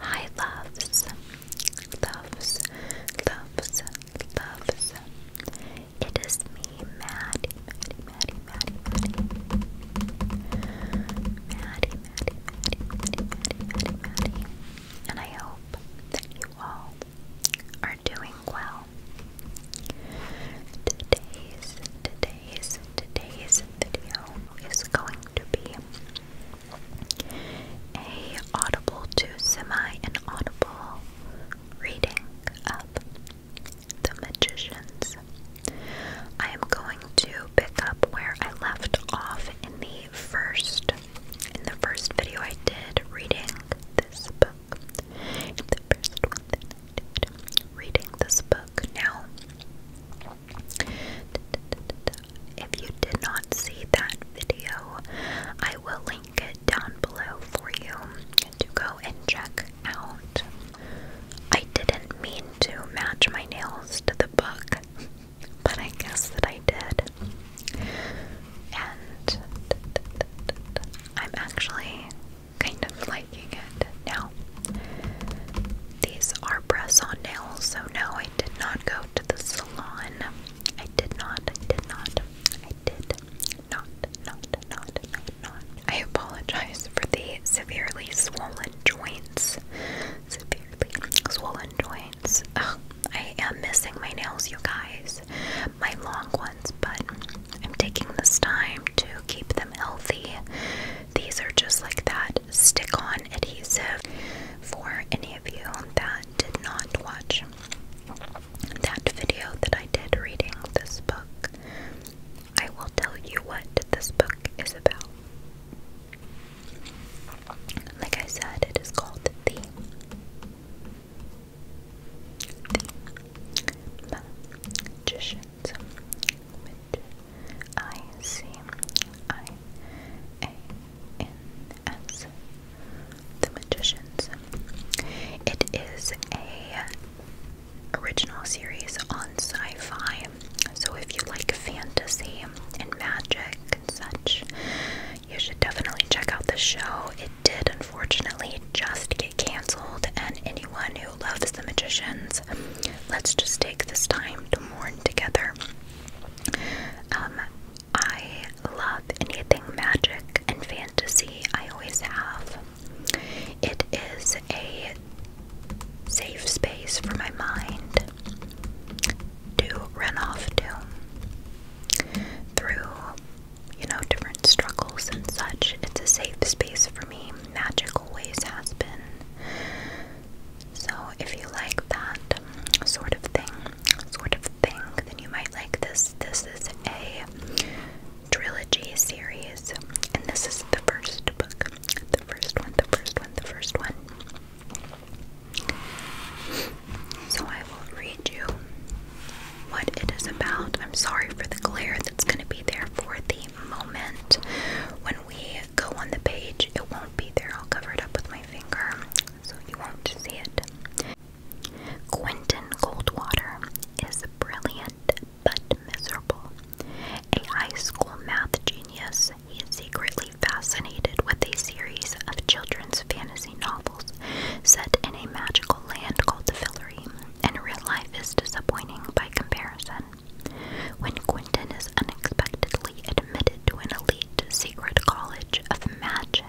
Hi loves, loves, loves, loves. It is me, Maddie, Maddie, Maddie, Maddie, Maddie, Maddie, Maddie, And I hope that you all are doing well. Today's, today's, today's video is going to be a audible to semi-inaudible reading of The Magicians. I am going to pick up where I left off in the first in the first video I did reading this book. the first one I did reading this book. Now if you did not see that video, I will link it down below for you to go and check out. I didn't mean to match my nails to the book, but I guess that I did. And I'm actually kind of liking it now. These are press on nails, so no, I did not go to the salon. I did not, I did not, I did not, not, not, not, not. I apologize for the severely swollen joints. Severely swollen joints. Ugh, I am missing my nails, you guys. My long ones, but I'm taking this time to keep them healthy. These are just like that stick on adhesive for any of you that did not watch that video that I did reading this book. I will tell you what this book is about. Like I said, it is called The, the Magician's I C I A N S The Magicians. It is a original series on sci-fi. So if you like fantasy and magic and such, you should definitely check out the show. It did unfortunately just get cancelled and anyone who loves the magicians, let's just take this time to mourn together. Um, I love anything magic and fantasy. I always have. It is a safe space for my mind to run off to through, you know, different struggles and such. It's a safe space for me. Magic always has been. So if you like that sort of thing, sort of thing, then you might like this. This is a trilogy series, and this is the first book. The first one, the first one, the first one. So I will read you what it is about. I'm sorry for the glare that's going to be there for the moment we go on the page, it won't be there. I'll cover it up with my finger so you won't see it. Quentin Goldwater is brilliant but miserable. A high school math genius, he is secretly fascinated with a series of children's fantasy novels set in a magical land called the Fillory, and real life is disappointing by comparison. When Quentin is unexpectedly admitted to an elite secret college of magic,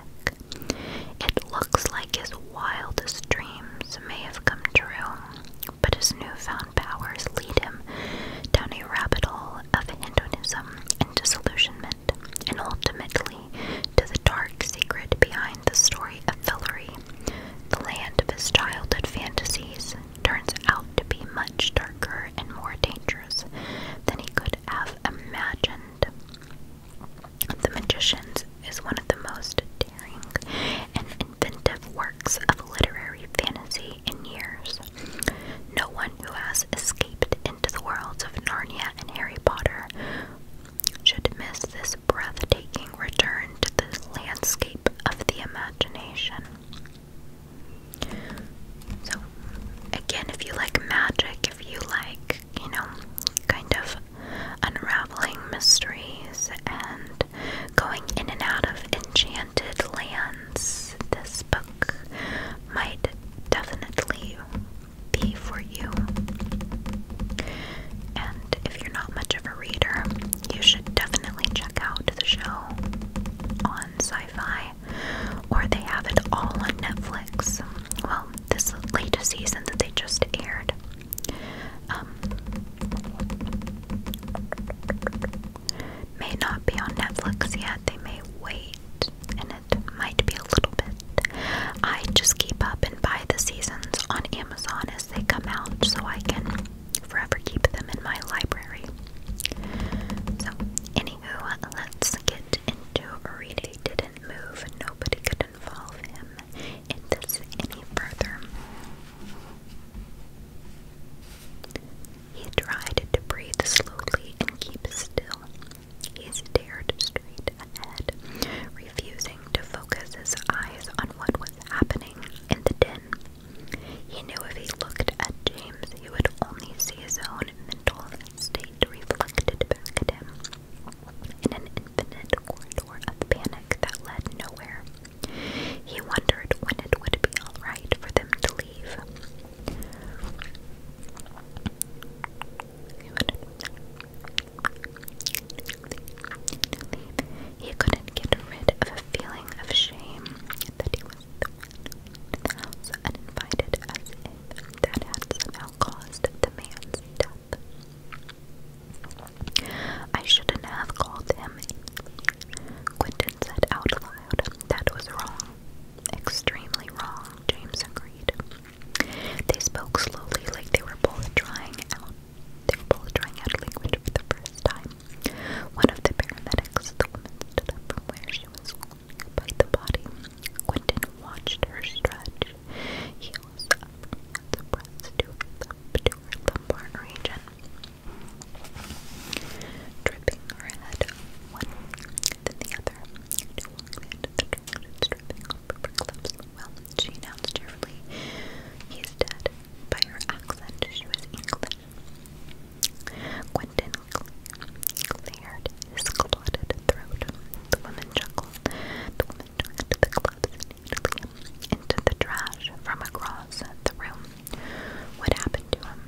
it looks like his wildest dreams may have come true, but his newfound powers lead him down a rabbit hole of Hinduism and disillusionment, and ultimately to the dark secret behind the story of Fillory, the land of his childhood fantasies, turns out to be much darker and more dangerous than he could have imagined. The Magicians is one of the most daring and inventive works of literary fantasy in years. No one who has escaped into the worlds of Narnia and Harry Potter should miss this breathtaking return to the landscape of the imagination. So, again, if you like magic, if you like, you know, kind of unraveling mysteries and going in and out of enchanted lands, this book might definitely be for you. And if you're not much of a reader, you should definitely check out the show on sci fi or they have it all on Netflix. Well, this latest season that they just aired. Um, may not be on Netflix yet. They may wait, and it might be a little bit. I just keep up and buy the seasons on Amazon as they come out so I can forever keep them in my library. So, anywho, let's get into Reedy didn't move. Nobody could involve him in this any further. He tried to breathe slowly and keep still. He stared straight ahead, refusing to focus his eyes on what was happening in the den. He knew if he looked at James, he would only see his own mental state reflected back at him in an infinite corridor of panic that led nowhere. He wondered when it would be alright for them to leave. He couldn't get rid of a feeling of shame that he the window uninvited as that had somehow caused the man's death. I shouldn't have called him. Quentin said out loud, That was wrong. Extremely wrong, James agreed. They spoke slowly like they were both trying out they were both trying out a language for the first time. One of the paramedics, the woman stood up from where she was by the body. Quentin watched her stretch. Heels up, the breaths to her, to her lumbar region. Dripping her head one, then the other. dripping off her lips. Well, she announced cheerfully, he's dead. By her accent, she was English. Quentin cleared his clotted throat. The woman chuckled. The woman chucked the gloves neatly into the trash from across the room. What happened to him?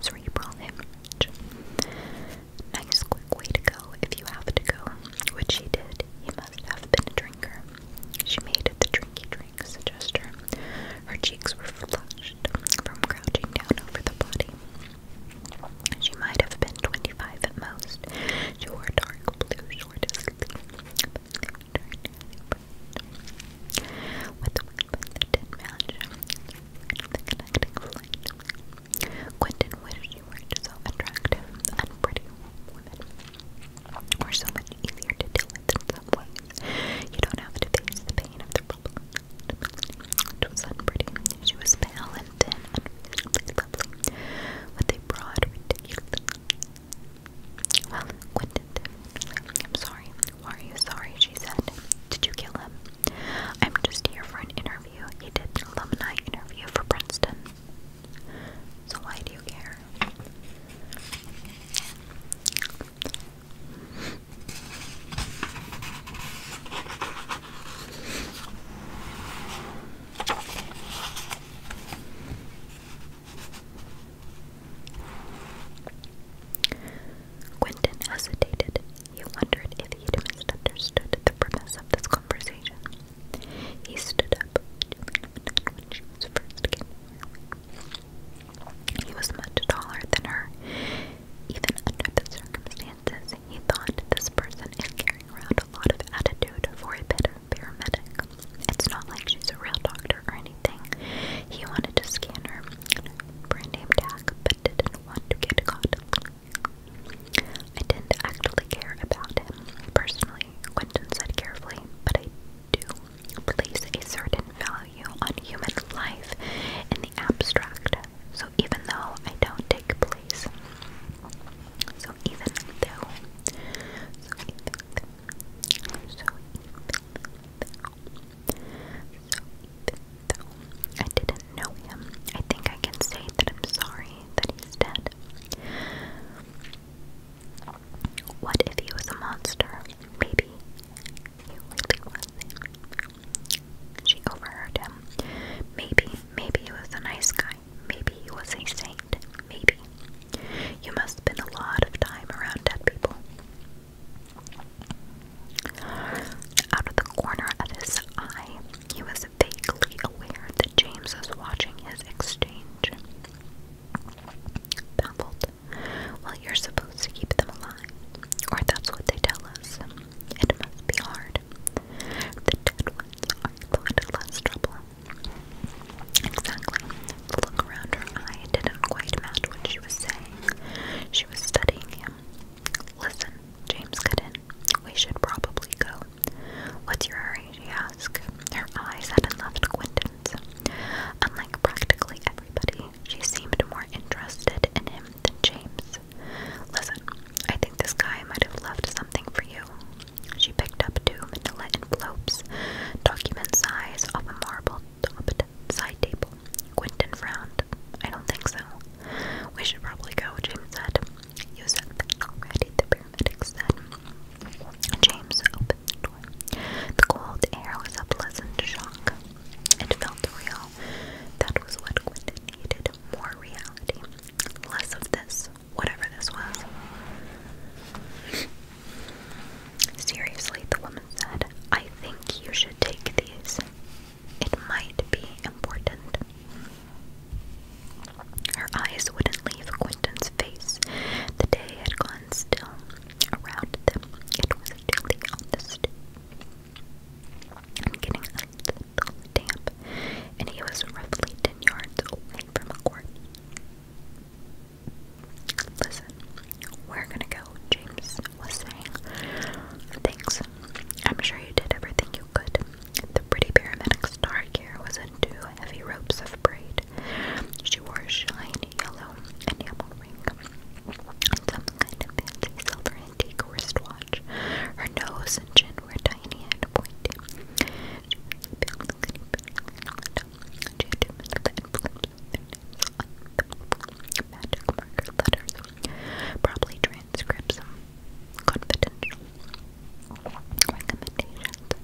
Cerebral hemorrhage. Nice quick way to go if you have to go, which she did. He must have been a drinker. She made the drinky drinks gesture. Her cheeks were flushed from crouching down over the body. She might have been 25 at most. She wore dark blue short sleeve, with the ribbon that did Quentin wished she weren't so attractive and pretty women so much easier to deal with in some way. You don't have to face the pain of the problem. It was unpretty. She was pale and thin and lovely, with a broad, ridiculous. Well, Quentin, I'm sorry. Why are you sorry? She said. Did you kill him? I'm just here for an interview. He did an alumni interview for Princeton. So why do you care? Quentin hesitated. He wondered if he misunderstood the premise of this conversation. He stood up when she was first came he was much taller than her. Even under the circumstances, he thought this person is carrying around a lot of attitude for a bit of paramedic. It's not like she's a real doctor or anything. He wanted to scan her brand name tag, but didn't want to get caught. I didn't actually care about him personally, Quentin said carefully, but I do place a certain value on human life in the abstract. So even though I don't take place. So even though. So even though. So even though. I didn't know him, I think I can say that I'm sorry that he's dead. What if he was a monster? Maybe you really was She overheard him. Maybe, maybe he was a nice guy. Maybe he was a saint. Maybe. You must spend a lot of time around dead people. Out of the corner of his eye, he was vaguely aware that James was watching his exchange. Baffled, well, you're supposed to keep them alive, or that's what they tell us. It must be hard. The dead ones are thought less trouble. Exactly. look around her eye didn't quite match what she was saying. She was studying him. Listen, James cut We should probably go. What's your hurry? she asked. Her eyes hadn't left Quentin's. Unlike practically everybody, she seemed more interested in him than James. Listen, I think this guy might have left something for you. She picked up two manila envelopes, document size, off a marble-topped side table. Quentin frowned. I don't think so. We should probably go, James said. You said already, the paramedic said. James the cold air was a pleasant shock. It felt real. That was what Quentin needed more reality. Less of this, whatever this was. Seriously, the woman said, I think you should take these. It might be important. Her eyes wouldn't leave Quentin's face. The day had gone still, around them. It was chilly on the getting a damp, and he was roughly ten yards away from the court. Listen, we're gonna go, James was saying. Thanks. I'm sure you did everything you could. The pretty paramedic's dark hair was in heavy ropes of braid. She wore shiny yellow enamel ring. Some kind of fancy silver antique wristwatch. Her nose and chin were tiny and pointy. Probably transcripts some confidential recommendations.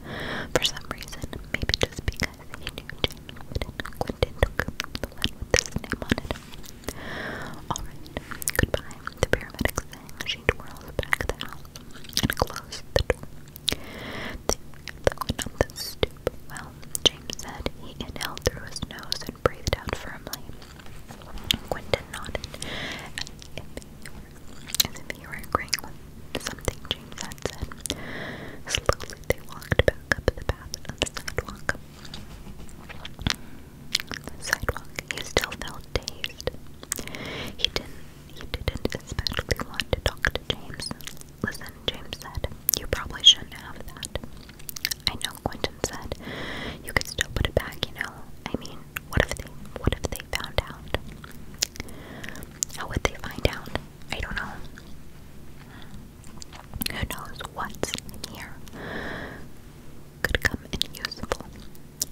For some reason, maybe just because a new Jane Quentin Dokum, the one with his name on it. Alright, goodbye, the paramedic She twirls back the house and closed the door. They went up the stoop. Well, James said he inhaled through his nose and breathed out firmly. Quentin nodded as if he were, as with something James had Slowly they walked back up the path and the sidewalk. sidewalk, he still felt dazed. He didn't he didn't especially want to talk to James. Listen, James said, you probably shouldn't have that. I know, Quentin said. You could still put it back, you know. I mean, what if they what if they found out? How would they find out? I don't know. Who knows what's in here? Could come in useful.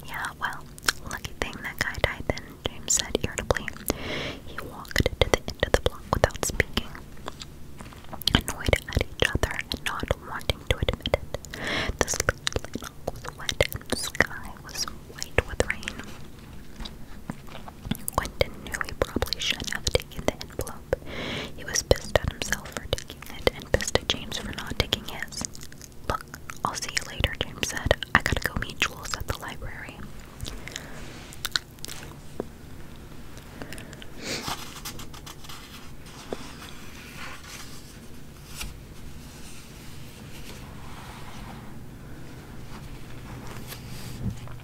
Yeah, well, lucky thing that guy died then, James said irritably. He walked to the end of the block without speaking. Annoyed at each other and not wanting to admit it. The sleepy was wet and the sky was white with rain. Quentin knew he probably should have taken the envelope. He was pissed at himself for taking it and pissed at James for not taking it. Look, I'll see you later, James said. I gotta go meet Jules at the library.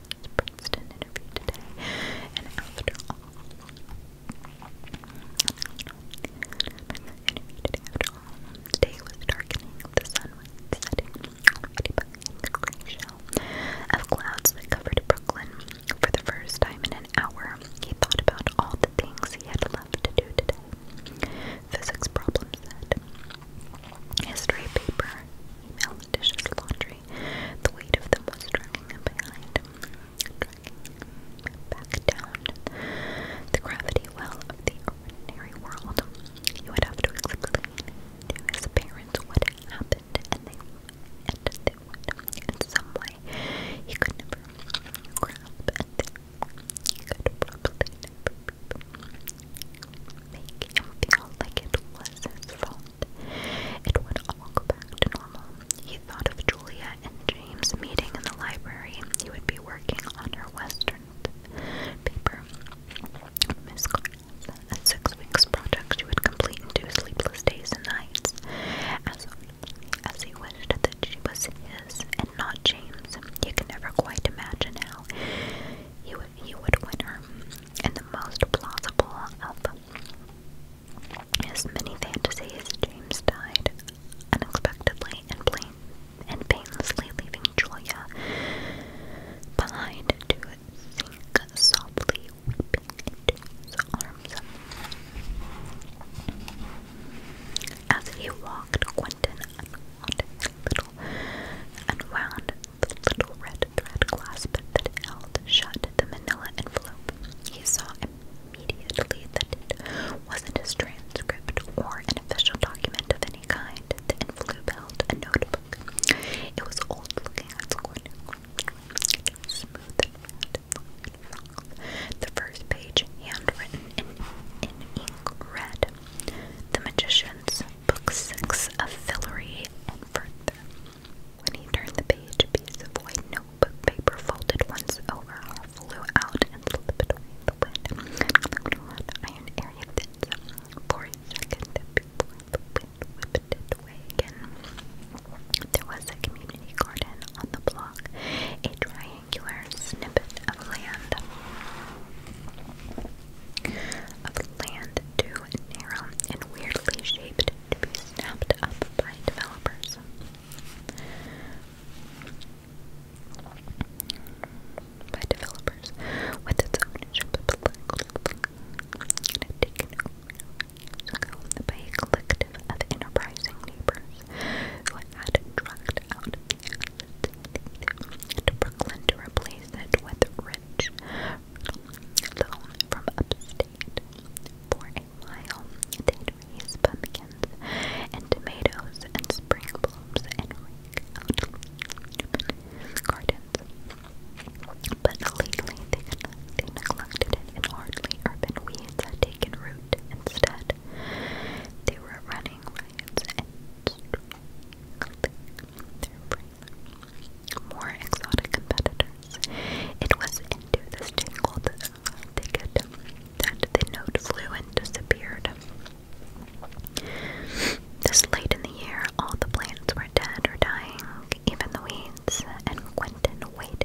this Princeton interview today, and after all, today was darkening, the sun was setting, already behind shell of clouds that covered Brooklyn. For the first time in an hour, he thought about all the things he had left to do today. Physics problem History paper, email, dishes, laundry, the weight of them was dragging him behind, dragging him back down. The gravity well of the ordinary world. You would have to explain to his parents what happened, and they, and they would, in some way. He could probably make him feel like it was his fault. It would all go back to normal. He thought of Julia and James meeting in the library. He would be working on her Western paper. a six weeks project she would complete in sleepless days and nights. As as he wished that she was his and not James, he could never quite imagine how he would he would win her and the most plausible of his many fantasies, James died unexpectedly and, plain, and painlessly, leaving Julia behind to sink softly weeping his arms. As he walked, Quentin little unwound the little red thread clasp that held shut the manila envelope. He saw immediately that it wasn't a transcript or an official document of any kind. The envelope held a notebook. It was old looking at smooth and round. The first page handwritten in, in ink red. The magician's book six of Fillory and for when he turned the page, a piece of white notebook paper folded once over, flew out and slipped away in the wind. And iron area did for a second before the wind whipped it away again. There was a community garden on the block, a triangular snippet of land of land too narrow and weirdly shaped to be snapped up by developers. By developers with its own political taken by a collective of enterprising neighbors who had drugged out the assets to Brooklyn to replace it with much from upstate for a while. They'd raise pumpkins and tomatoes and spring blooms and gardens. But lately they, they neglected and hardly urban weeds had taken root. Instead, they were running riots more exotic competitors. It was into this tangled thicket that the note flew and disappeared. This late in the year, all the plants were dead or dying, even the weeds, and Quentin waited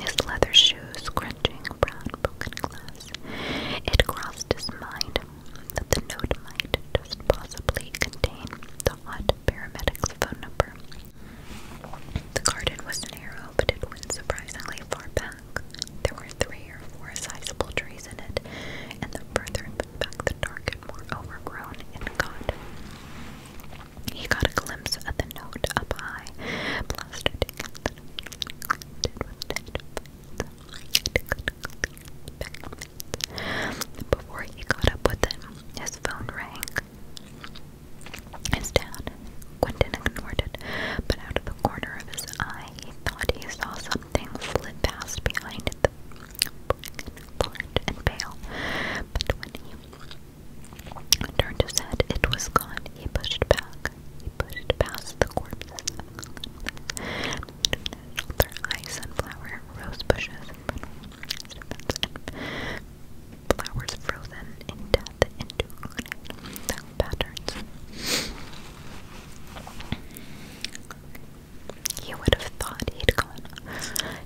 his leather shoes crunching brown broken glass. It crossed his mind that the note might just possibly contain the hot paramedic's phone number. The garden was narrow, but it went surprisingly far back. There were three or four sizable trees in it, and the further back the dark more overgrown it got. He got a glimpse of the note up high, plastered against before he caught up with them, his phone rang. His Quentin ignored it, but out of the corner of his eye, he thought he saw something flit past behind the blurred and pale. But when he turned his head, it was gone. He pushed back pushed past the corpses of their sunflower, rose bushes, flowers frozen in death into patterns. He would have thought he'd gone.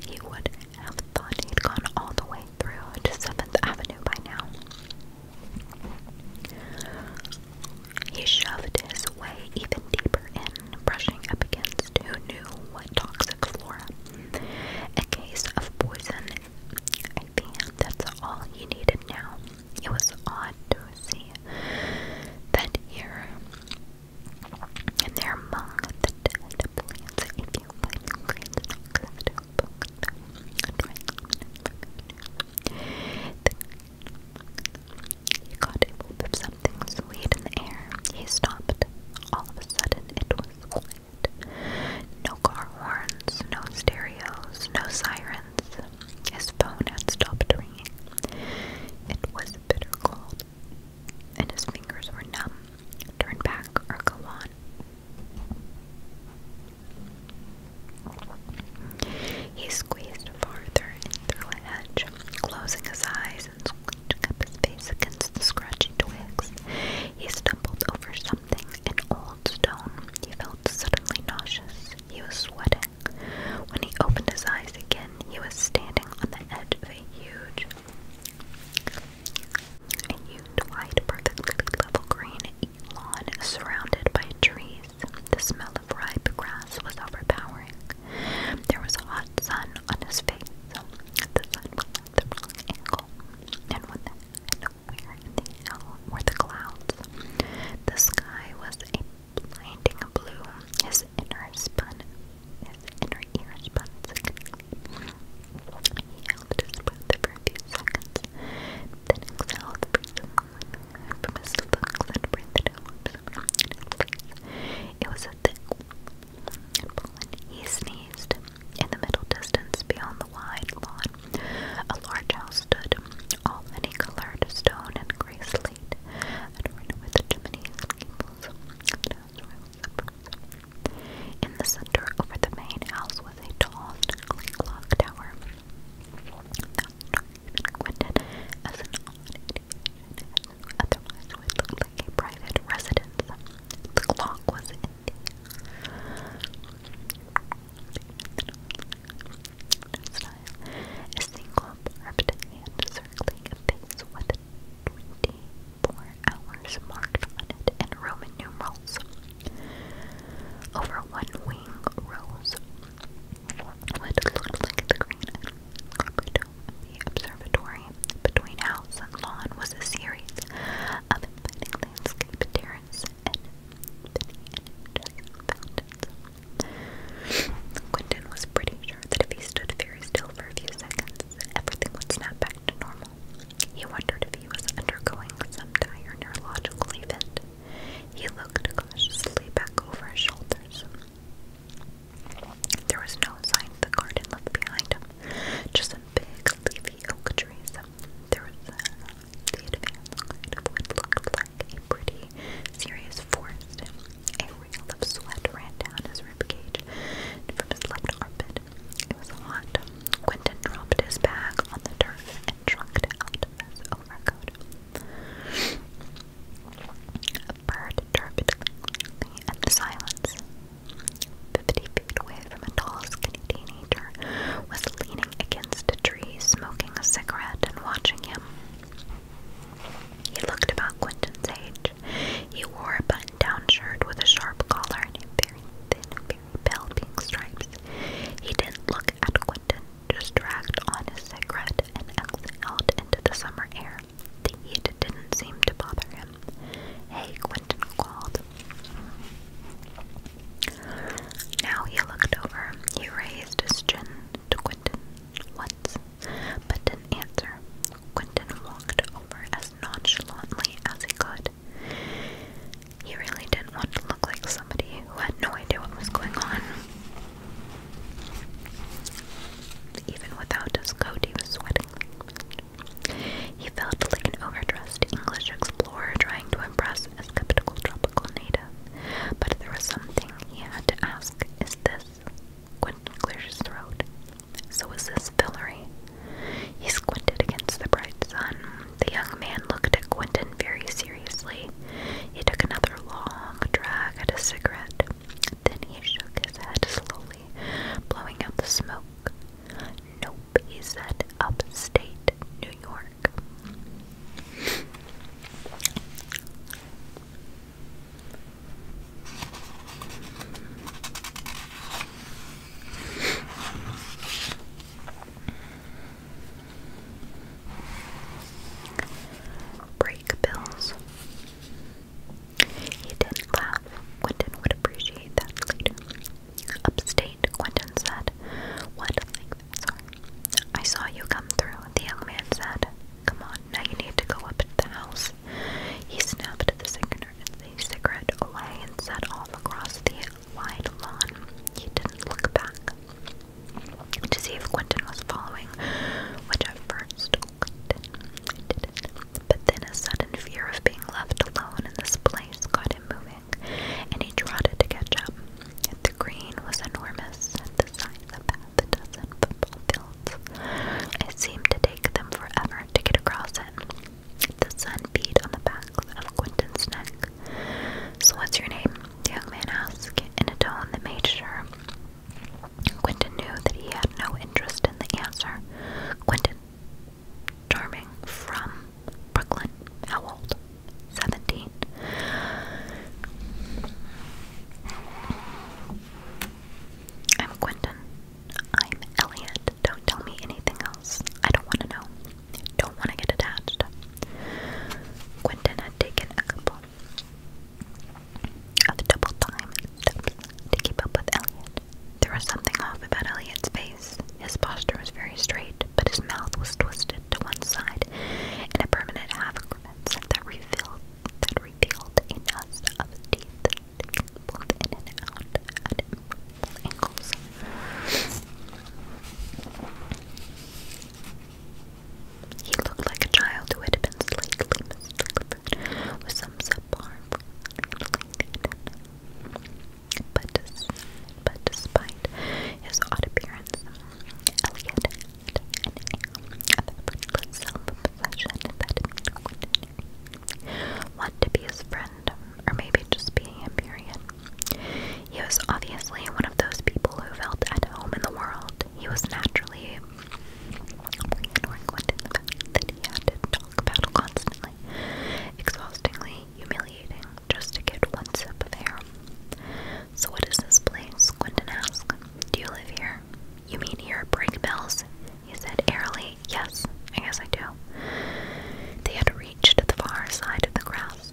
He would have thought he'd gone all the way through to Seventh Avenue by now. He shoved his way even deeper in, brushing up against who knew what toxic flora. A case of poison. I think that's all he needed now. It was odd to see that here and there among the dead plants, a few biting grains he caught a whiff of something sweet in the air. He stopped. All of a sudden, it was quiet. No car horns, no stereos, no sirens. His phone had stopped ringing. It was bitter cold, and his fingers were numb. Turn back or go on. He squeezed farther in through hedge, closing his eyes and scratching up his face against the scratching twigs. He stumbled over something, an old stone. He felt suddenly nauseous. He was sweating. When he opened his eyes again, he was standing on the edge of a huge, a huge, wide, perfectly level green lawn surrounded by trees. The smell of ripe grass was overpowering. There was a hot sun on his face. The sun was at the wrong angle, and the, nowhere in the hell were the clouds. The sky was a blinding blue. His inner spun, his inner ear spun He held his breath for a few seconds. Then exhale the breathing I promised the bugs I'd breathe it It was a thick and He sneezed. In the middle distance beyond the wide lawn, a large house stood, all many-colored stone and gray slate, adorned with chimneys and gables. in the center over the main house was a tall, snugly tower. Quinted as an odd individual, otherwise would like a private residence. The clock was in the style. A single barbed hand circling a face with twenty-four hours marked on it in Roman numerals. Over one wing rose what looked the green carpet of observatory. Between house and lawn was a series of inviting landscape terraces and fountains. Quentin was pretty sure that if he stood very still for a few seconds, everything would snap back to normal. He wondered if he was undergoing some dire neurological event. He looked cautiously back over his shoulders. There was no sign of the garden left behind him, just some big leafy oak trees. There was uh, the advanced guide looked like a pretty serious forest. A reel of sweat ran down his ribcage from his left armpit. It was hot. Quentin dropped his bag on the turf and out of his overcoat. A bird turbulently in silence. Fifty feet away from a tall, skinny teenager was leaning against a tree, smoking a cigarette and watching him. He looked about Quentin's age. He wore a button-down shirt with a sharp collar and very thin very stripes. He didn't look at Quentin, just dragged on his cigarette and exhaled into the summer air. The heat didn't seem to bother him. Hey, Quentin called. Now he looked over. He raised his chin to Quentin once, but didn't answer. Quentin walked over as nonchalantly as he could. He really didn't want to look like somebody who had no idea what was going on. Even without his coat, he was sweating. He felt like an overdressed English explorer trying to impress a skeptical tropical native. But there was something he had to ask Is this? Quentin cleared his throat. So is this fillery. He squinted against the bright sun. The young man looked at Quentin very seriously. He took another long drag at his cigarette. Then he shook his head slowly, blowing out the smoke. Nope, he said, upstate New York. Break bills. He didn't laugh. Quentin would appreciate that Upstate, Quentin said. What Sorry. I saw you come through, the young man said. Come on, now you need to go up to the house. He snapped the cigarette away and sat all across the wide lawn. He didn't look back to see if Quentin was following, which at first Quentin did But then a sudden fear of being left alone in this place got him moving, and he trotted to catch up. The green was enormous, and the size of half a dozen football fields. It seemed to take them forever to get across it. The sun beat on the back of Quentin's neck. So what's your name? young man asked, in a tone that made sure. Quentin knew that he had no interest in the answer. Quentin, charming, from Brooklyn. How old? Seventeen. I'm Quentin. I'm Elliot. Don't tell me anything else. I don't want to know. Don't want to get attached. Quentin had taken a couple of double time steps to keep up with Elliot. There was something off about Elliot's face. His posture was very straight, but his mouth was twisted to one side in a permanent half grimace that revealed that revealed a nest of teeth he looked like a child who had been slightly with some subpar but, but despite his odd appearance, Elliot had an air of self-possession that made to be his friend or maybe just being Empyrean. He was obviously one of those people who felt at home in the world. He was naturally reeling in that he had to talk about constantly, exhaustingly humiliating, just to get one sip of air. So what is this place? Quentin asked. Do you live here? You mean here break He said airily. Yes, I guess I do. They had reached the far side of the grass.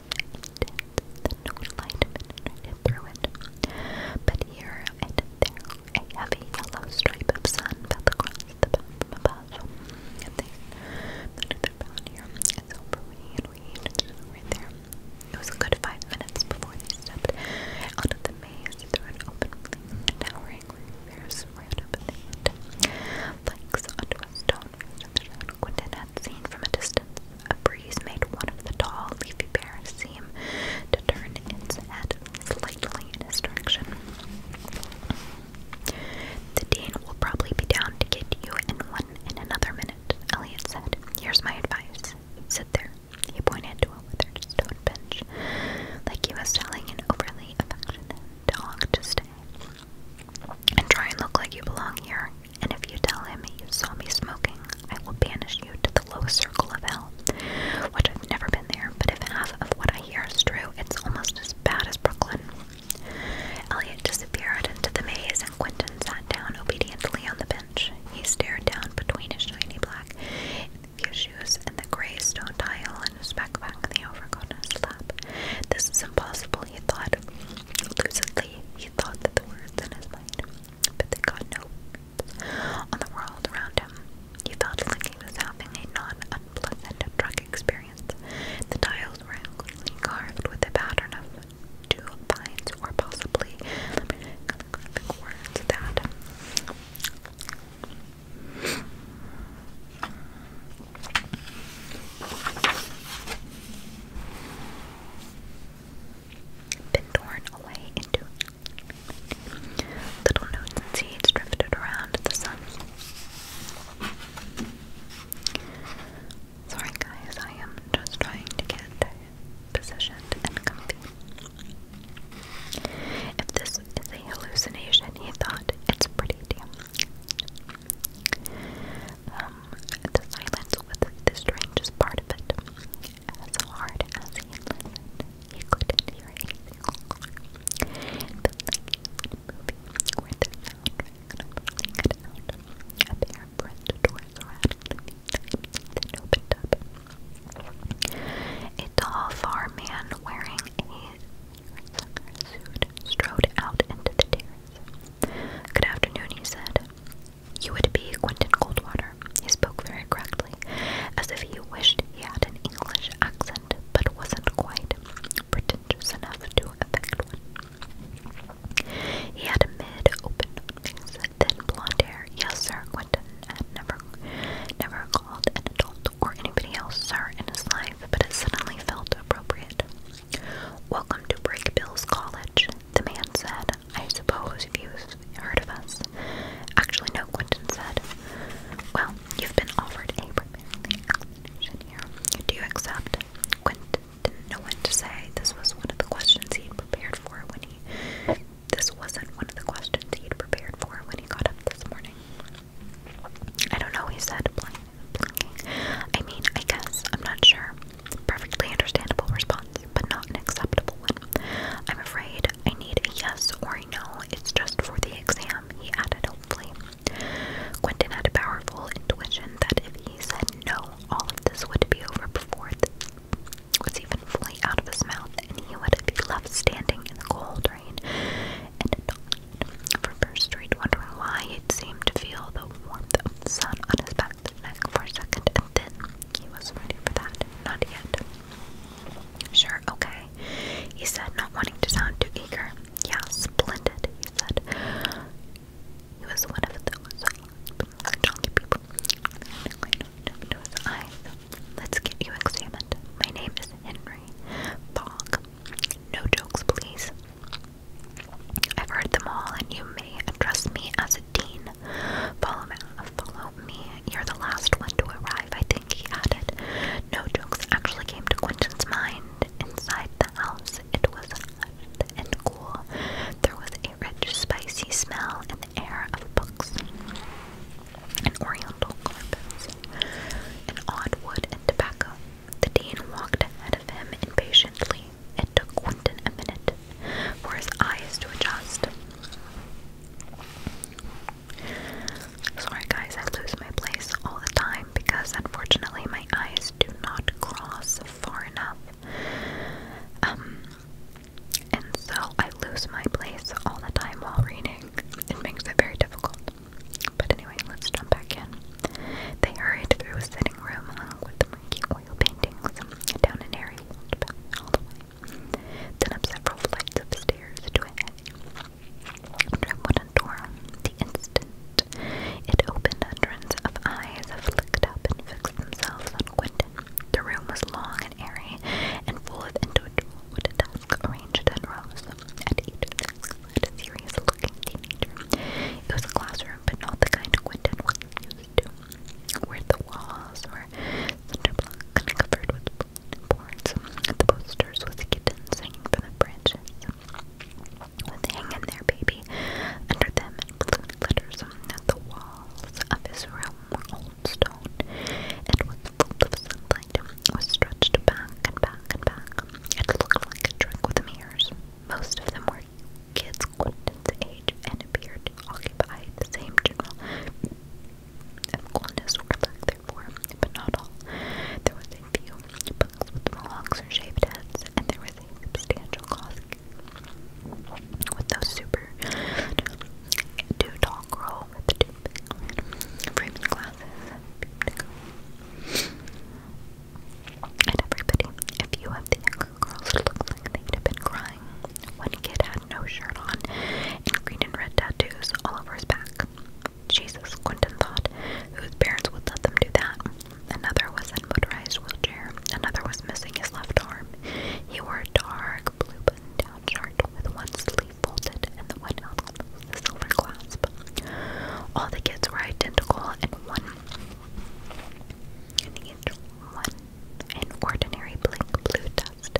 intense, no light penetrated through it. But here and there, a heavy yellow stripe of sun fell across the bound from above. And then another bound here, and so for rain, rain, right there. It was a good five minutes before they stepped out of the maze through an open flame, towering reefers right up in onto a stone Quentin had seen from a distance. A breeze made one of the tall, leafy pears seem to turn its head slightly in his direction. The dean will probably be down to get you in one in another minute, Elliot said. Here's my advice. Sit there. He pointed to a withered stone bench, like he was telling an overly affectionate dog to stay and try and look like you belong here. And if you tell him you saw me smoking, I will banish you to the lowest circle of hell. Which I've never been there, but if half of what I hear is true, it's almost as bad as Brooklyn. Elliot disappeared into the maze, and Quentin sat down obediently on the bench. He stared down between his shiny black shoes and the gray stone tile and his backpack and the overcoat in his lap. This is impossible people, he thought lucidly. He thought that the words in his mind, but they got no on the world around him. He thought Linking was having a non-unpleasant drug experience. The tiles were incredibly carved with a pattern of two pines, or possibly calligraphic words that been torn away into little notes and seeds drifted around the sun. Sorry, guys, I am just trying to get positioned and comfy. If this is a hallucination, he thought, it's pretty damn. Um, the silence was the strangest part of it. As hard as he could hear anything. It felt like he was in the sound randomly cut then opened up. A tall farm man wearing a suit strode out into the terrace. Good afternoon, he said. You would be Quentin Goldwater." He spoke very correctly, as if he wished he had an English accent, but wasn't quite pretentious enough to affect one. He had a mid-open face, thin blonde hair. Yes, sir, Quentin had never, never called an adult or anybody else sir in his life, but it suddenly felt appropriate. Welcome to Break Bill's College, the man said. I suppose you've heard of us. Actually, no, Quentin said. Well, you've been offered a preparing explanation here. Do you accept? Quentin didn't know what to say. This was one of the questions he'd prepared for when he. This wasn't one of the questions he'd prepared for when he got up this morning. I don't know, he said, blank. I mean, I guess, I'm not sure. Perfectly understandable response, but not an acceptable one. I'm afraid I need a yes or a no, it's just for the exam, he added hopefully. Quentin had a powerful intuition that if he said no, all of this would be over before it was even fully out of his mouth, and he would be left standing in the cold rain and for First Street wondered why it seemed to feel the warmth of the sun on his back for a second, and then he wasn't ready for that. Not yet. Sure, okay, he said, not wanting to sound too eager. Yeah, splendid, he said. He was one of those chunky people. Let's get you examined. My name is Henry Fogg. No jokes, please. I've heard them all, and you may address me as a dean. Follow me, You're the last one to arrive, I think, he added. No jokes actually came to Quentin's mind. Inside the house, it was hot and cool. There was a rich, spicy smell in the air of books and oriental carpets, and odd wood and tobacco. The dean walked ahead of him impatiently. It took Quentin a minute for his eyes to adjust. Sorry, guys, I lose my place all the time because unfortunately my eyes do not cross far enough. Um, and so I lose my place all the time while reading. It makes it very difficult. They hurried through a sitting room along with the murky oil paintings down an airy hallway, then up several flights of stairs to a heavy wooden door. The instant it opened, hundreds of eyes flicked up and fixed themselves on Quentin. The room was long and airy and full of individual wooden desks arranged in rows. At each led a serious-looking teenager. It was a classroom, but not the kind of one that was used to, where the walls were cinder and covered with boards. The posters with the kittens hanging from the branches. With "Hang in there, baby" under them in letters, that the walls of his room were old stone, and was full of sunlight. Was stretched back and back and back. It looked like a trick with the mirrors. Most of them were party. Kids Quentin's age and appeared to occupy the same general coolness or lack thereof, but not all. There was a few with mohawks or shaved heads, and there was a substantial cost with those super two tall girl with the glasses. And everybody, if you have the younger girls look like they have been crying, one kid had no shirt on and green and red tattoos all over his back. Jesus, Quentin thought, whose parents would let them do that. Another was in a motorized wheelchair. Another was missing his left arm. He wore a dark blue button-down shirt with one sleeve folded and the one held the a silver clasp. All the kids were identical, and one and each one, an ordinary blank blue dust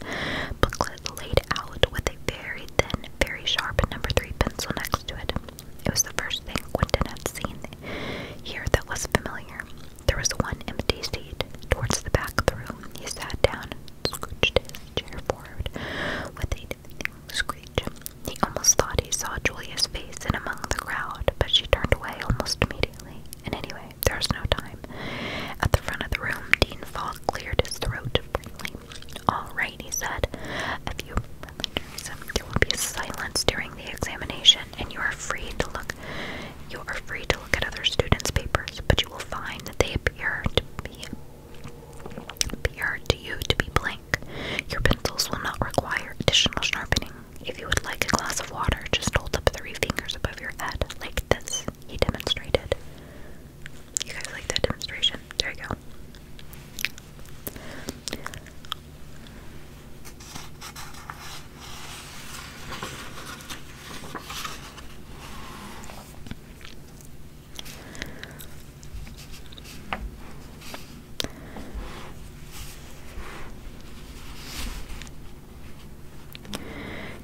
booklet laid out with a very thin, very sharp number three pencil next to it. It was the first thing Quentin had seen here that was familiar. There was one empty seat towards the back of the room. He sat down, scooched his chair forward with a screech, he almost thought he saw Julia's face in among the crowd, but she turned away almost immediately. And anyway, there is no time. At the front of the room, Dean Falk cleared his throat freely. All right, he said. If you um, there will be silence during the examination, and you are free to look. You are free to look at other students' papers, but you will find that they appear to be appear to you to be blank. Your pencils will not require additional sharpening. If you would like a glass of water, just hold up three fingers above your head, like this, he demonstrated. You guys like that demonstration? There you go.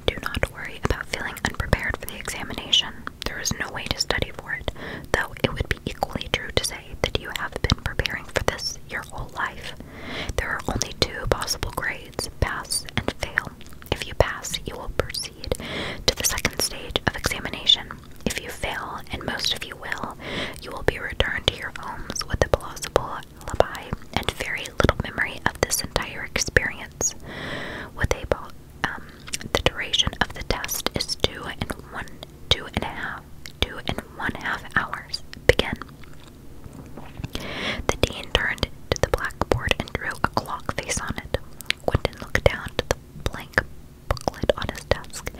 Do not worry about feeling unprepared for the examination. There is no way to study for it, though it would be equally true to say that you have been preparing for this your whole life. There are only two possible grades pass and fail. If you pass, you will proceed to the second stage of examination. If you fail, and most of you will, you will be returned to your homes with a plausible alibi and very little memory of this entire experience. With a um, the duration of the test is two and one, two and a half, two and one half hours. Begin. The dean turned to the blackboard and drew a clock face on it. Quentin looked down to the blank booklet on his desk.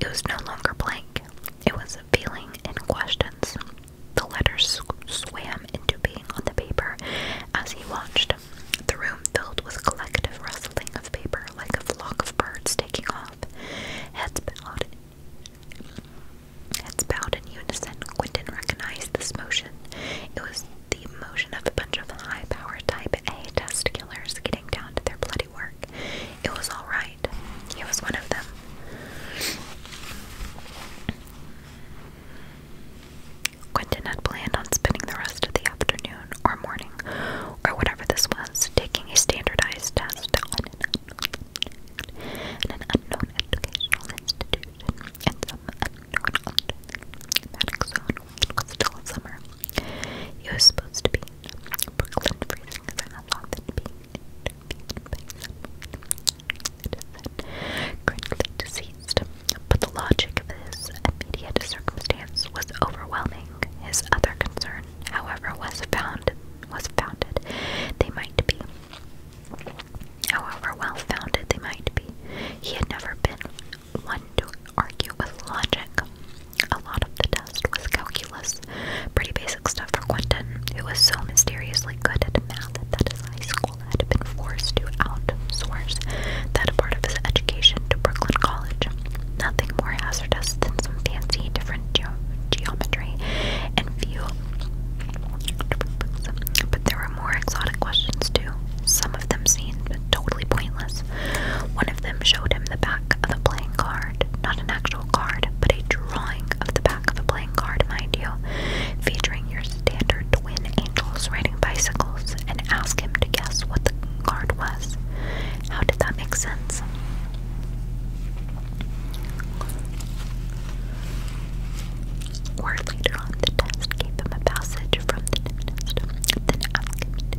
It was no longer blank, it was feeling and questions. The letters swam into being on the paper as he watched. The room filled with collective rustling of paper, like a flock of birds taking off. Heads bowed, heads bowed in unison. Quentin recognized this motion. It was the motion of a bunch of high-powered Type A test killers getting down to their bloody it was alright. He was one of them. Quentin had planned on spending the rest of the afternoon or morning, or whatever this was, taking a standardized test in an unknown educational institution in some unknown climatic zone which was still summer. He was supposed to be Brooklyn freezing is allowed in being interviewed by someone that is currently deceased, but the logic of his immediate circumstance was overwhelming. His other concern, however, was found was founded. They might be. However well founded they might be, he had never been one to argue with logic. A lot of the test was calculus, pretty basic stuff for Quentin, who was so mysteriously good at math that his high school had been forced to outsource that part of his education to Brooklyn College. Nothing more hazardous than some fancy different ge geometry and few. But there were more exotic questions too, some of them seemed totally pointless. One of them showed him the back of a playing card. Not an actual card, but a drawing of the back of a playing card, mind you, featuring your standard twin angels riding bicycles, and ask him to guess what the card was. How did that make sense? Or later on, the test gave them a passage from the test, then ask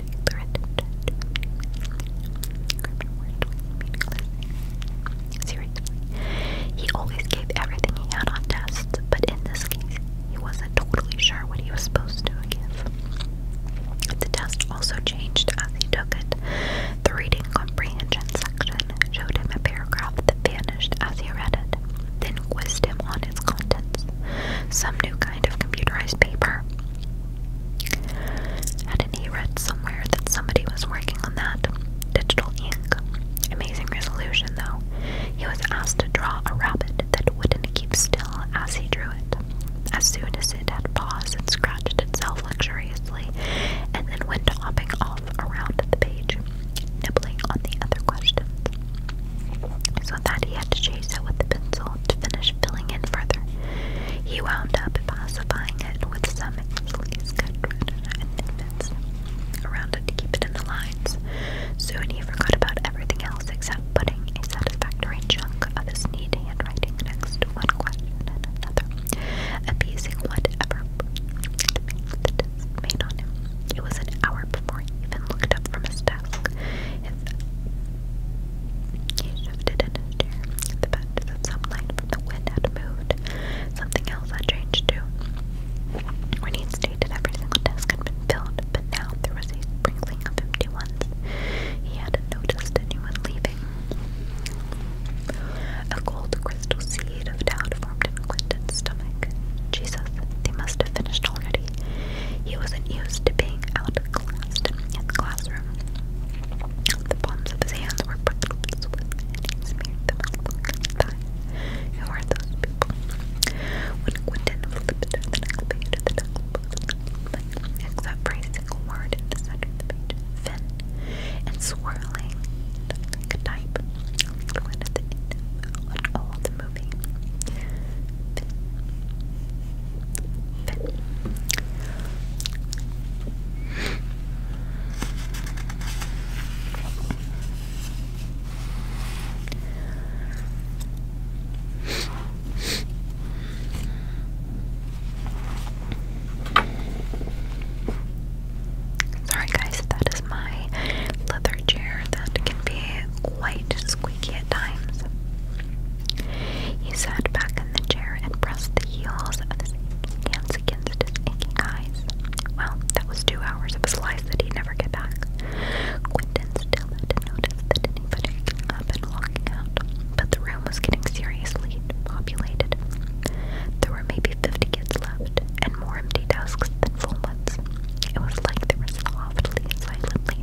Seriously. He always gave everything he had on tests, but in this case, he wasn't totally sure what he was supposed to give. The test also changed as he took it. The reading comprehension section showed him a paragraph that vanished as he read it, then quizzed him on on its contents, some new kind of computerized paper. Hadn't he read somewhere that somebody was working on that? Digital ink. Amazing resolution, though. He was asked to draw a rabbit that wouldn't keep still as he drew it. As soon as it had paws, it scratched itself luxuriously and then went hopping off around the page, nibbling on the other questions that he had to chase it with a pencil to finish filling in further. He wound up pacifying it with some sleeves cut and infants around it to keep it in the lines. Soon he forgot about everything else except putting a satisfactory chunk of his neat handwriting next to one question and another, appeasing whatever It was an hour before he even looked up from his desk. He shifted in his chair. The patches of sunlight from the wind had moved. Something else had changed too. When he'd stated every single desk had been filled, but now there was a sprinkling of empty ones. He hadn't noticed anyone leaving. A cold crystal seed of doubt formed in Quentin's stomach. Jesus, they must have finished already. He wasn't used to being outclassed in the classroom. The palms of his hands were buckled with sweat, he smeared them along his thigh. Who are those the next page of the textbook, except for single word in the center page, Finn, and swirling like type, the the end of all movie. Finn. Sorry, guys, that is my leather chair that can be quite squeaky at times. He sat back in the chair and pressed the heels of his hands against his aching eyes. Well, that was two hours of his life that he'd never get back. Quentin still hadn't noticed that anybody getting up walking out, but the room was getting seriously populated. There were maybe fifty kids left, and more empty desks than full ones. It was like there was a silently,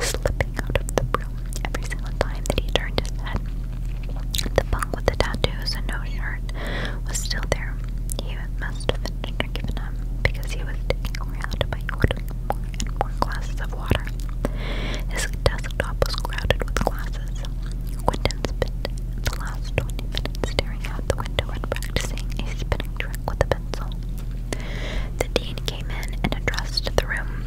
slipping out of the room every single time that he turned his head. The bunk with the tattoos and no shirt was still there. He must have been or given up because he was taking around by ordering more and more glasses of water. His desktop was crowded with glasses. Quentin spent the last 20 minutes staring out the window and practicing a spinning trick with a the dean came in and addressed the room.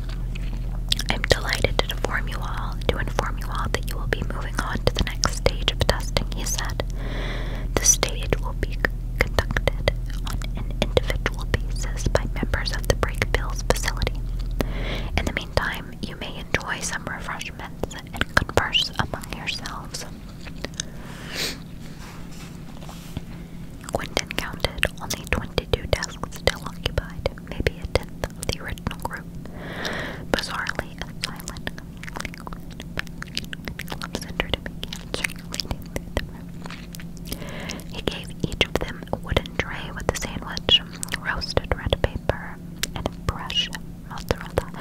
I'm delighted to inform you all to inform you all that you will be moving on to the next stage of testing, he said. The stage will be conducted on an individual basis by members of the Break Bills facility. In the meantime, you may enjoy some refreshments and converse among yourselves. Quinton counted only 22 desks still occupied, maybe a tenth of the original group. Bizarrely, a silent club centered began He gave each of them a wooden tray with a sandwich, roasted red paper, and a fresh mozzarella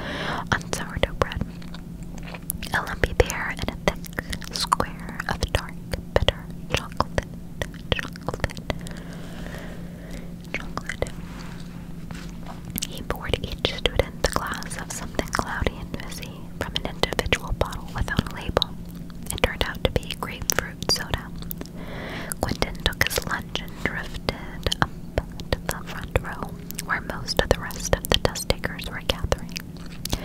on sourdough bread lumpy pear and a thick square of dark, bitter chocolate, He poured each student a glass of something cloudy and fizzy from an individual bottle without a label. It turned out to be grapefruit soda. Quentin took his lunch and drifted up to the front row, where most of the rest of the test takers were gathering. He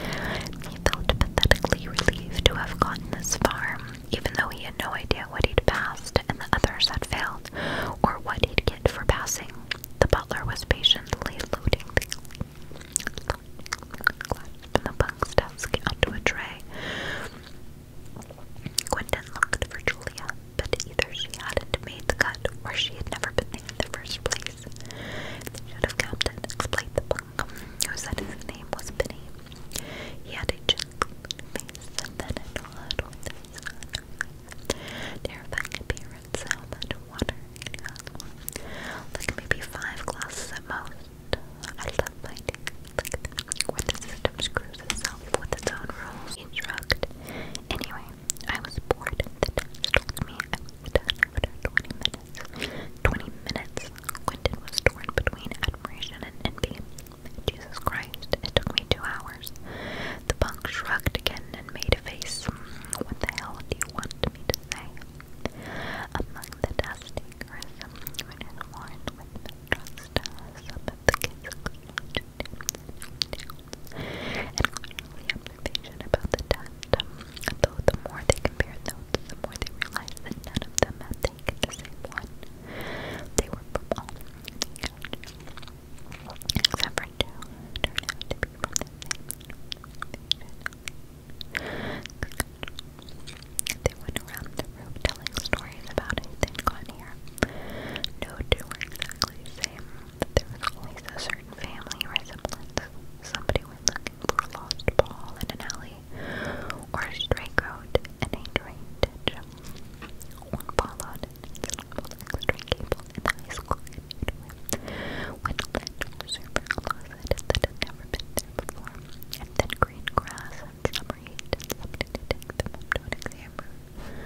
felt pathetically relieved to have gotten this far, even though he had no idea what he'd passed and the others had failed, or what he'd get for passing. The butler was patiently loading the glass onto a tray. Quentin looked for Julia, but either she hadn't made the cut or she had never been there in the first place series. They should have explained the punk, who said his name was Benny. He had a gentle face and then a nod with his son. Terrifying appearance, how water Like maybe five glasses at most. I love my like where the system screws itself with its own rules. He Anyway, I was bored. The text told me I was done after 20 minutes. Twenty minutes. Quentin was torn between admiration and envy. Jesus Christ, it took me two hours. The punk shrugged again and made a face. What the hell do you want me to say? Among the dust takers, when is worn with the trust, some of the kids and clearly patient about the test, um, though the more they compared notes, the more they realized that none of them had taken the same one. They were from all the couch. Except for two, turned out to be from the same patient. They went around the room telling stories about who they'd gone here. No two were exactly the same, but there was always a certain family resemblance. Somebody with a lost ball in an alley, or a stray goat in a drain ditch. One followed an scrambled cable in the high school computer, which led to a closet that had never been there before, and then green grass and summer heat and somebody to take them up exam room.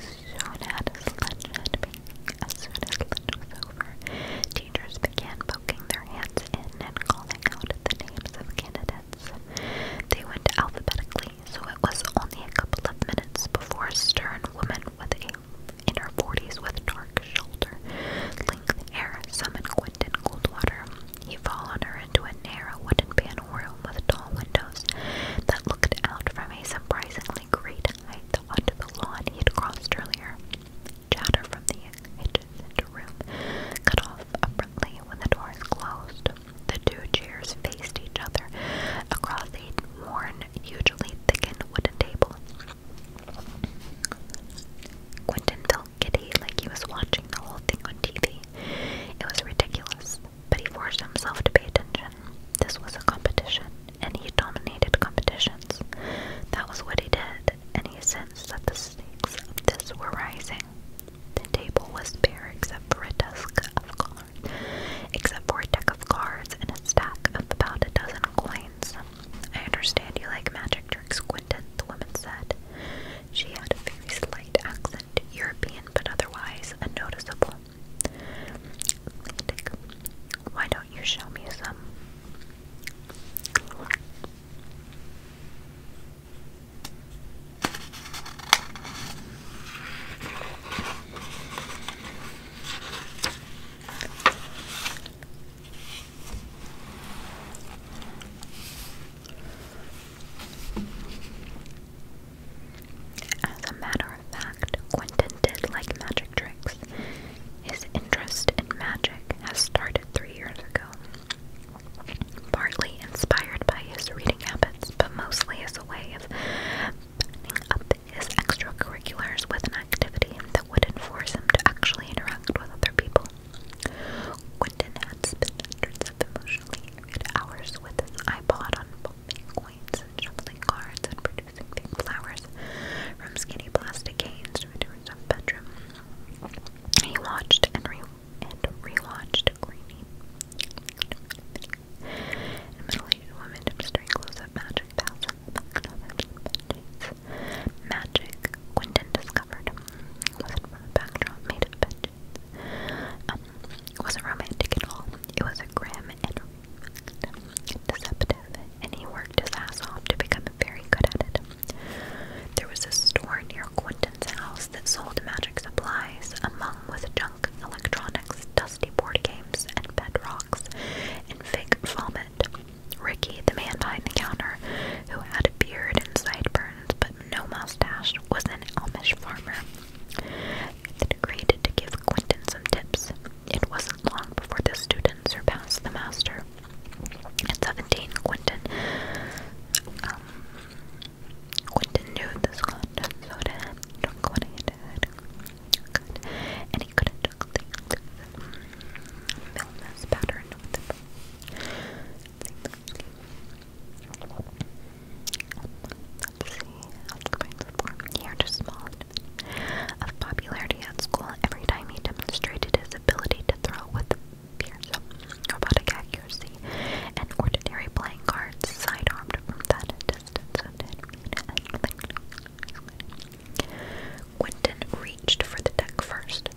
Soon had a had been as soon as lunch was over, teachers began poking their hands in and calling out the names of candidates. They went alphabetically, so it was only a couple of minutes before a stern woman with a in her forties with dark shoulder length hair summoned Quentin Goldwater. He followed her into a narrow wooden panel room with tall windows that looked out from a surprisingly great height though the lawn he had crossed earlier. Chatter from the hitches room, cut off abruptly when the doors closed. The two chairs faced each other across a worn, hugely thickened wooden table. Quentin felt giddy like he was watching the whole thing on TV. It was ridiculous, but he forced himself to pay attention. This was a competition, and he dominated competitions. That was what he did, and he sensed that the stakes of this were rising. The table was bare except for a desk of cards, except for a deck of cards and a stack of about a dozen coins. I understand you like magic tricks, Quentin, the woman said. She had a very slight accent, European but otherwise unnoticeable. Why don't you show me some? As a matter matter of fact, Quentin did like magic tricks. His interest in magic has started three years ago, partly inspired by his reading habits, but mostly as a way of buttoning up his extracurriculars with an activity that wouldn't force him to actually interact with other people. Quentin had spent hundreds of emotionally hours with his iPod on Bitcoin coins and and producing big flowers from skinny plastic cans. to into bedroom. He watched and re and rewatched Greeny. A middle-aged woman demonstrating close-up magic bouts of his Magic, Quentin discovered, was from a backdrop made of bed um, wasn't romantic at all. It was a grim deceptive, and he worked his ass off to become very good at it. There was a store near Quentin's house that sold magic supplies, among with junk electronics, dusty board games, and bedrocks, and fake vomit. Ricky, the man behind the counter, who had a beard and sideburns but no mustache, was an Amish farmer. It agreed to give give some tips. It wasn't long before the student surpassed the master. At 17, Quentin, um, knew the Scotch soda drunk And he couldn't drink the illness pattern with him. Let's see, the form. Here, just small of popularity at school every time he demonstrated his ability to throw with fierce robotic accuracy and ordinary playing cards sidearmed from that distance. Quentin reached for the deck first.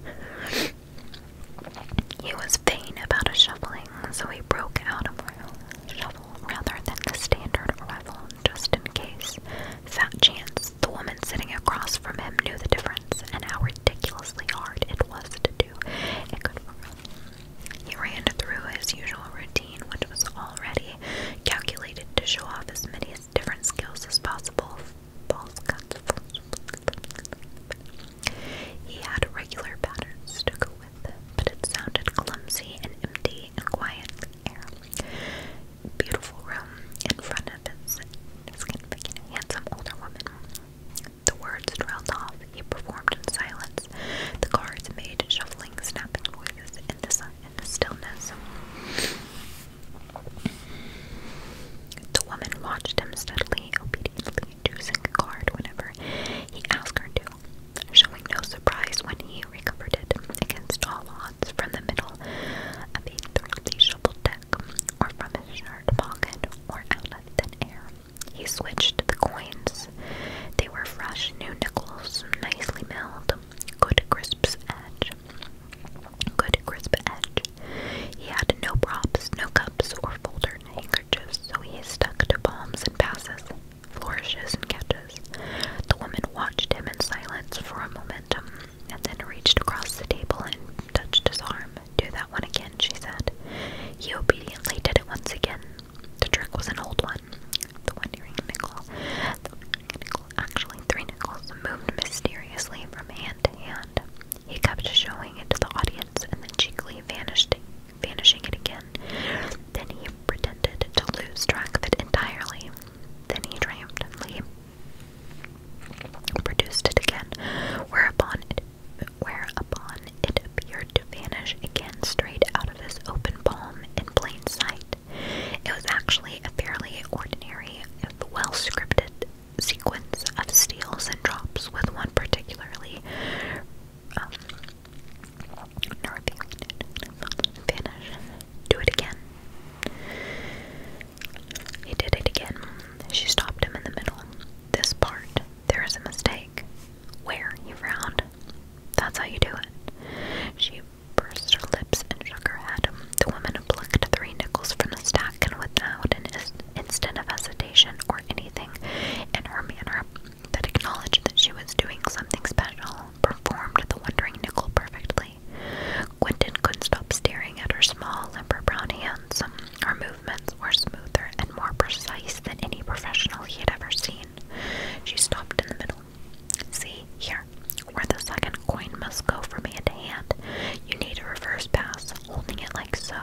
He was vain about his shuffling, so he broke out a while shovel rather than the standard rifle, just in case. Fat chance the woman sitting across from him knew the difference and how ridiculously hard it was to do. It could He ran through his usual routine, which was already calculated to show off as many different skills as possible. Balls cuts. He had regular patterns to go with, but it sounded clumsy and empty and quiet, Beautiful room in front of his significant, handsome older woman. The words trailed off. He performed in silence. The cards made shuffling, snapping noises in the, stillness. The woman watched him steadily, obediently choosing a card whenever he asked her to showing no surprise when he recovered it against all odds from the middle of the thoroughly shoveled deck, or from his shirt pocket, or out of thin air. He switched the coins. They were fresh new nickels, nicely milled, good crisp edge. Good crisp edge. He had no props, no cups, or folded handkerchiefs, so he stuck to bombs and passes flourishes and catches. The woman watched him in silence for a momentum, and then reached across the table and touched his arm. Do that one again, she said. He obediently did it once again. The trick was an old one. The one wondering nickel. The nickel actually three nickels moved mysteriously from hand to hand. He kept showing it to the audience and then cheekily vanished vanishing it again. Then he pretended to lose track of it entirely then he triumphantly produced it again, whereupon it, whereupon it appeared to vanish again straight out of his open palm in plain sight. It was actually a fairly ordinary, well scripted, sequence of steals and drops, with one particularly um, Northeast. Vanish. Do it again. He did it again. She stopped him in the middle. This part, there is a mistake. Where? He frowned. That's how you do it. She pursed her lips and shook her head. The woman plucked three nickels from the stack, and without an instant of hesitation or anything in her manner that acknowledged that she was doing something special, performed the wondering nickel perfectly. Quentin couldn't stop staring at her small, limber brown hands. Her movements were smoother and more precise than any professional he had ever seen. She stopped in the middle. See, here, where the second coin must go from hand to hand, you need a reverse pass, holding it like so.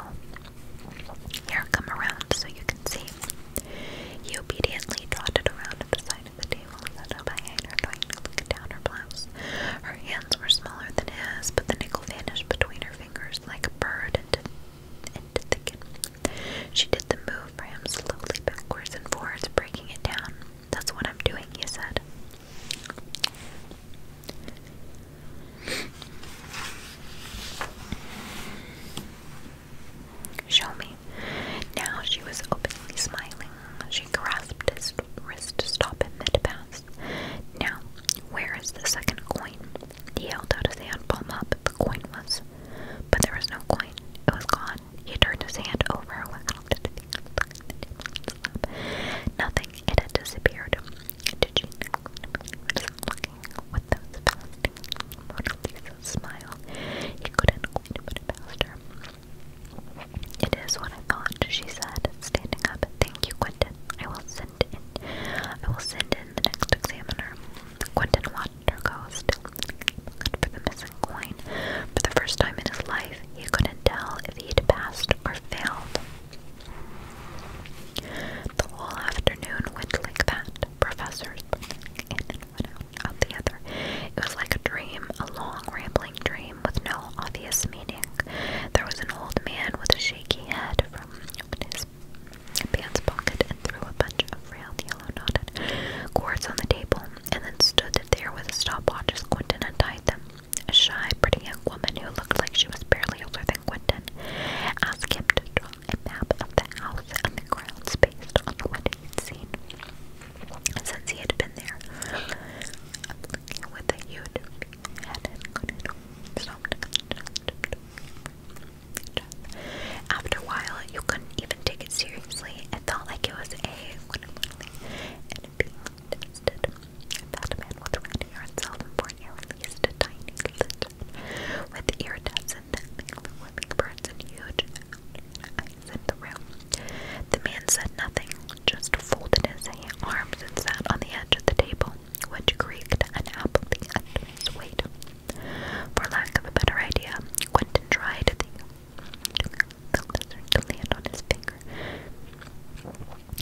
Here, come around so you can see. He obediently trotted around at the side the table set behind her, trying her blouse. Her hands were smaller than his, but the nickel vanished between her fingers like a bird into, into thicket. She did the move for him slowly backwards and forwards, breaking it down. That's what I'm doing, he said. Show me. Now she was openly smiling. She grasped his wrist to stop him mid pass. Now, where is the second coin? He held out his hand palm up. The coin was. But there was no coin. It was gone. He turned his hand over. Waggled Nothing. It had disappeared. Did she looking with those fasting Mona He couldn't quite put it it is what I got," she said, standing up. Thank you, Quentin. I will send in I will send in the next examiner. Quentin watched her go still good for the missing coin. For the first time in his life, he couldn't tell if he'd passed or failed. The whole afternoon went like that. Professors one It was like a dream, a long, rambling dream with no obvious meaning. There was an old man with a shaky head from opened his pants pocket and threw a bunch of frail yellow knotted cords on the table, and then stood there with a stopwatch as Quentin untied them. A shy, pretty young woman who looked like she was barely older than Quentin asked him to draw a map of the house and the grounds based on what he'd seen since he had been there. with a huge head After a while, you couldn't even take it seriously. It felt like it was a That man was ready himself for at least a tiny bit with iridescent, living birds and huge exit the room. The man said nothing, just folded his arms and sat on the edge of the table, which creaked and unhappily under his weight. For lack of a better idea, Quentin tried to think the lizard land on his finger.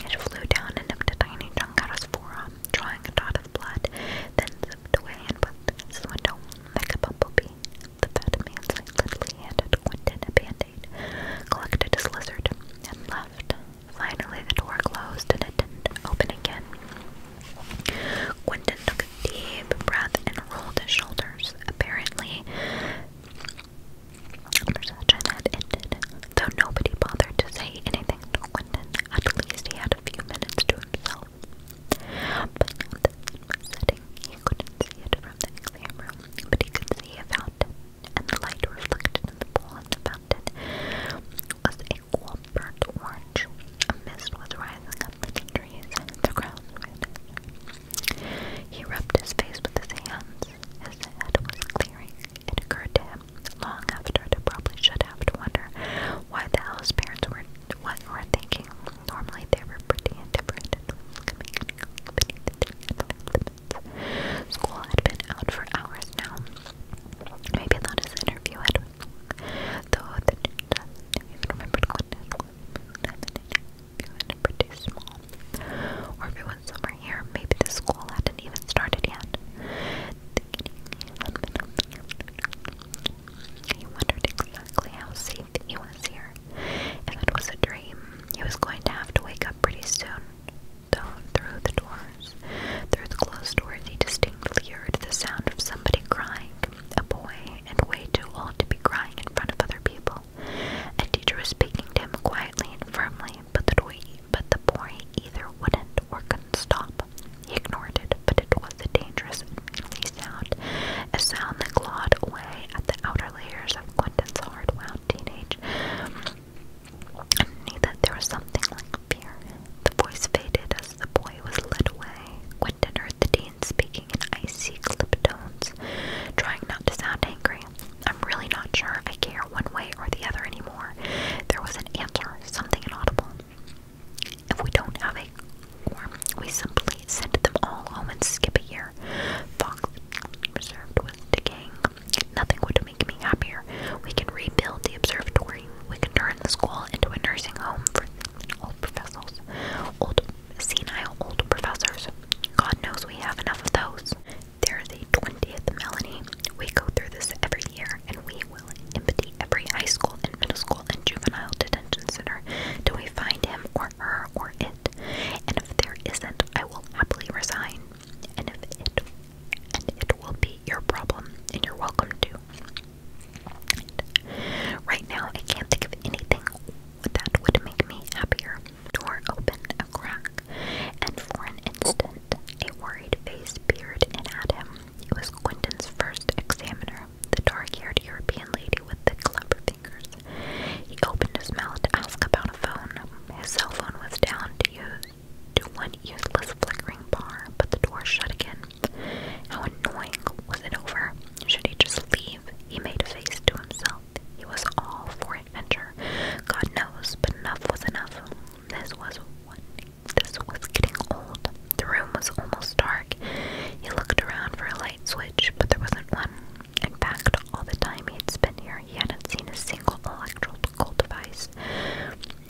It flew down and nipped a tiny chunk out of his forearm, drawing a dot of blood, then zipped away and went to his window like a bumblebee. The fat man's literally handed Quentin a band collected his lizard, and left. Finally, the door closed and it didn't open again. Quentin took a deep breath and rolled his shoulders. Apparently, conversation had ended, though nobody bothered to say anything to Quentin. At least he had a few minutes to himself. But now the sun was setting, he couldn't see it from the exam room, but he could see a fountain, and the light reflected in the pool in the fountain was a cool burnt orange. A mist was rising up in the trees, the ground He rubbed his face with his hands. His head was clearing. It occurred to him long after, to probably should have to wonder why the hell his parents were what were thinking Normally they were pretty indifferent School had been out for hours now. Maybe that his interview though the dude doesn't it was. pretty small. Or if it was somewhere here, maybe the school hadn't even started yet. He wondered exactly how think he was here. If it was a dream, he was going to have to wake up pretty soon. Though through the doors, through the closed doors, he distinctly heard the sound of somebody crying. A boy, and way too old to be crying in front of other people. A teacher speaking to him quietly and firmly, but the boy, but the boy either wouldn't or couldn't stop. He ignored it, but it was a dangerous and sound, a sound that clawed away at the outer layers of Quentin's hard-wound teenage. Underneath it, there was something like fear. The voice faded as the boy was led away. Quentin heard the dean speaking in icy, clipped tones, trying not to sound angry. I'm really not sure I care one way or the other anymore. There was an answer, something inaudible. If we don't have we simply sent them all home and skip a year. Fox Reserve was decaying. Nothing would make me happier. We can rebuild the observatory. We can turn the school into a nursing home for old professors, old senile old professors. God knows we have enough of those. There's a 20th Melanie. We go through this every year, and we will empty every high school and middle school and juvenile detention center till we find him or her or it, and if there isn't, I will happily resign. And if it and it will be your problem, and you're welcome to. right now, I can't think of anything that would make me happier. Door opened a crack, and for an instant, a worried face peered in at him. It was Quentin's first examiner, the dark-haired European lady with the clever he opened his mouth to ask about a phone. His cell phone was down to use to one useless flickering bar, but the door shut again. How annoying was it over? Should he just leave? He made a face to himself. He was all for adventure. God knows, but enough was enough. This was one this was getting old. The room was almost dark. He looked around for a light switch, but there wasn't one. In fact, all the time he had spent here, he hadn't seen a single electrical device.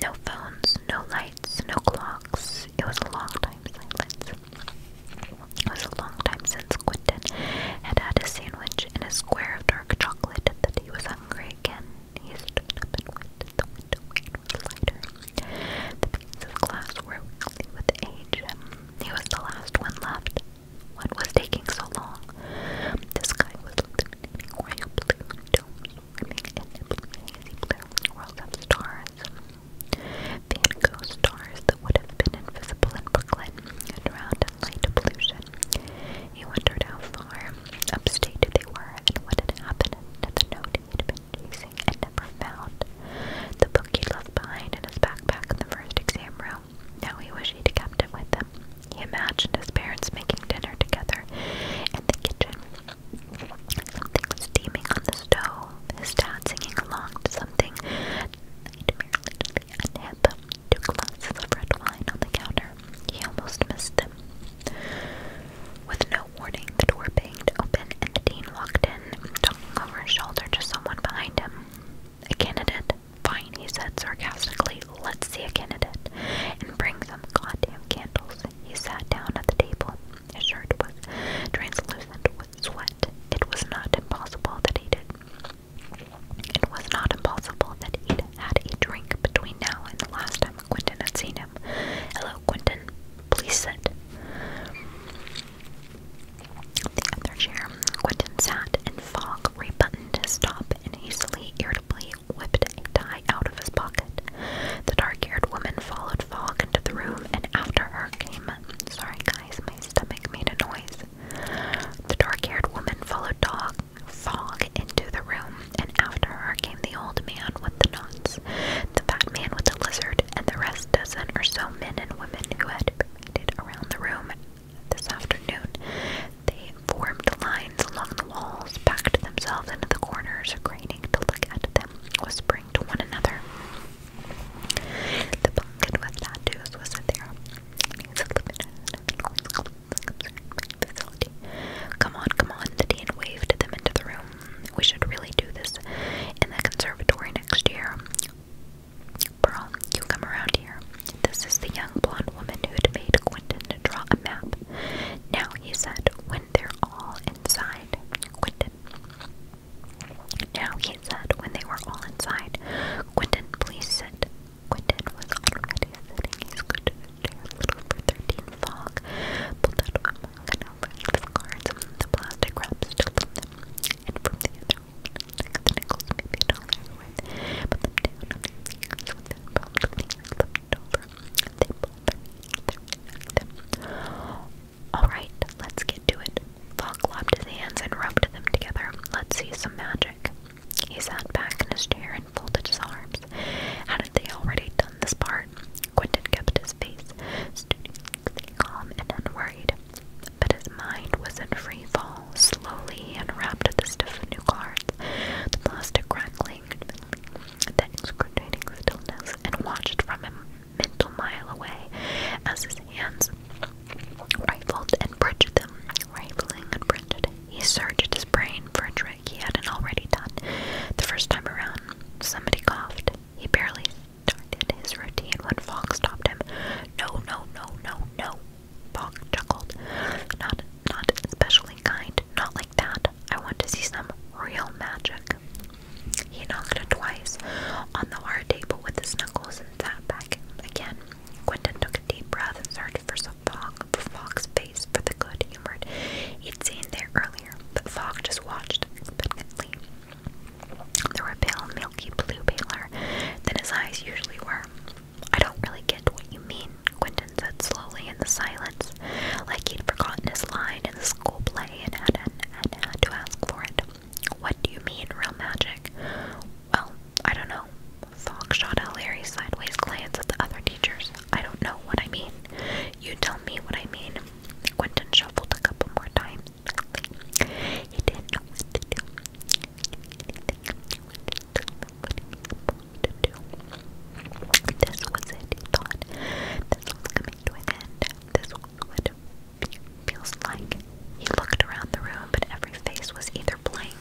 No phones, no lights, no clocks. It was a long time silence. It was a long time since Quentin had had a sandwich and a square of dark chocolate that he was hungry again. He stood up and went the window of glass were with age. He was the last one left. What was taking so long? The sky was illuminating royal blue domes in the hazy blue world of stars. Van Gogh stars that would have been invisible in Brooklyn and drowned light pollution. He wondered how far upstate they were and what had happened to the note he had been chasing and never found. The book he left behind in his backpack in the first exam room. Now he wished he'd kept it with him. He imagined his parents making dinner together in the kitchen. Something was steaming on the stove, his dad singing along to something He nightmarely unhip, two glasses of red wine on the counter. He almost missed them. With no warning, the door banged open and dean walked in, talking over his shoulder to someone behind him. A candidate? Fine, he said sarcastically. Let's see a candidate. And bring some goddamn candles. He sat down at the table. His shirt was translucent with sweat. It was not impossible that he did. It was not impossible that he had a drink between now and the last time Quentin had seen him. Hello, Quentin. Please sit. The other chair, Quentin sat, and Fogg rebuttoned his top and hastily, irritably whipped a tie out of his pocket. The dark-haired woman followed Fogg into the room, and after her came. Sorry, guys, my stomach made a noise. The dark-haired woman followed Dog into the room, and after her came the old man with the knots, the fat man with the lizard, and the rest dozen or so men and women who had did around the room this afternoon. They formed lines along the walls, packed themselves into the corners, craning to look at them, whispering to one another. The pumpkin with tattoos was in there. Come on, come on, the dean waved them into the room. We should really do this in the conservatory next year. Pearl, you come around here. This is the young blonde woman who had made Quentin draw a map. Now, he said, when they're all inside, Quentin. Now, he said, when they were all inside, Quentin, please sit. Quentin was already sitting. He scooted his chair a fog, pulled out of a mug and over his cards, the plastic wrap still Alright, let's get to it. Falk lopped his hands and rubbed them together. Let's see some magic. He sat back in his chair and folded his arms. Hadn't they already done this part? Quentin kept his face, stood calm and unworried. But his mind was in free fall. Slowly he unwrapped the stiff new cards, the plastic crackling, the excruciating stillness, and watched from a mental mile away as his hands rifled and bridged them. Rifling and bridged. He searched his brain for a trick he hadn't already done. The first time around, somebody coughed. He barely started his routine when Fogg stopped him. No, no, no, no, no. Fogg chuckled. Not not especially kind, not like that. I want to see some real magic. He knocked twice on the hard table with his knuckles and sat back again. Quentin took a deep breath and searched for some Fogg Fox's face for the good humored he'd seen there earlier, but Fox just watched expectantly. They were a pale, milky blue paler than his eyes usually were. I don't really get what you mean, Quentin said slowly in the silence, like he'd forgotten his line in the school play and had, had to ask for it. What do you mean, real magic? Well, I don't know. Fogg shot a leery sideways glance at the other teachers. I don't know what I mean. You tell me what I mean. Quentin shuffled a couple more times, he This was it, he thought. This was coming to an end. This was it feels like. He looked around the room, but every face was either blank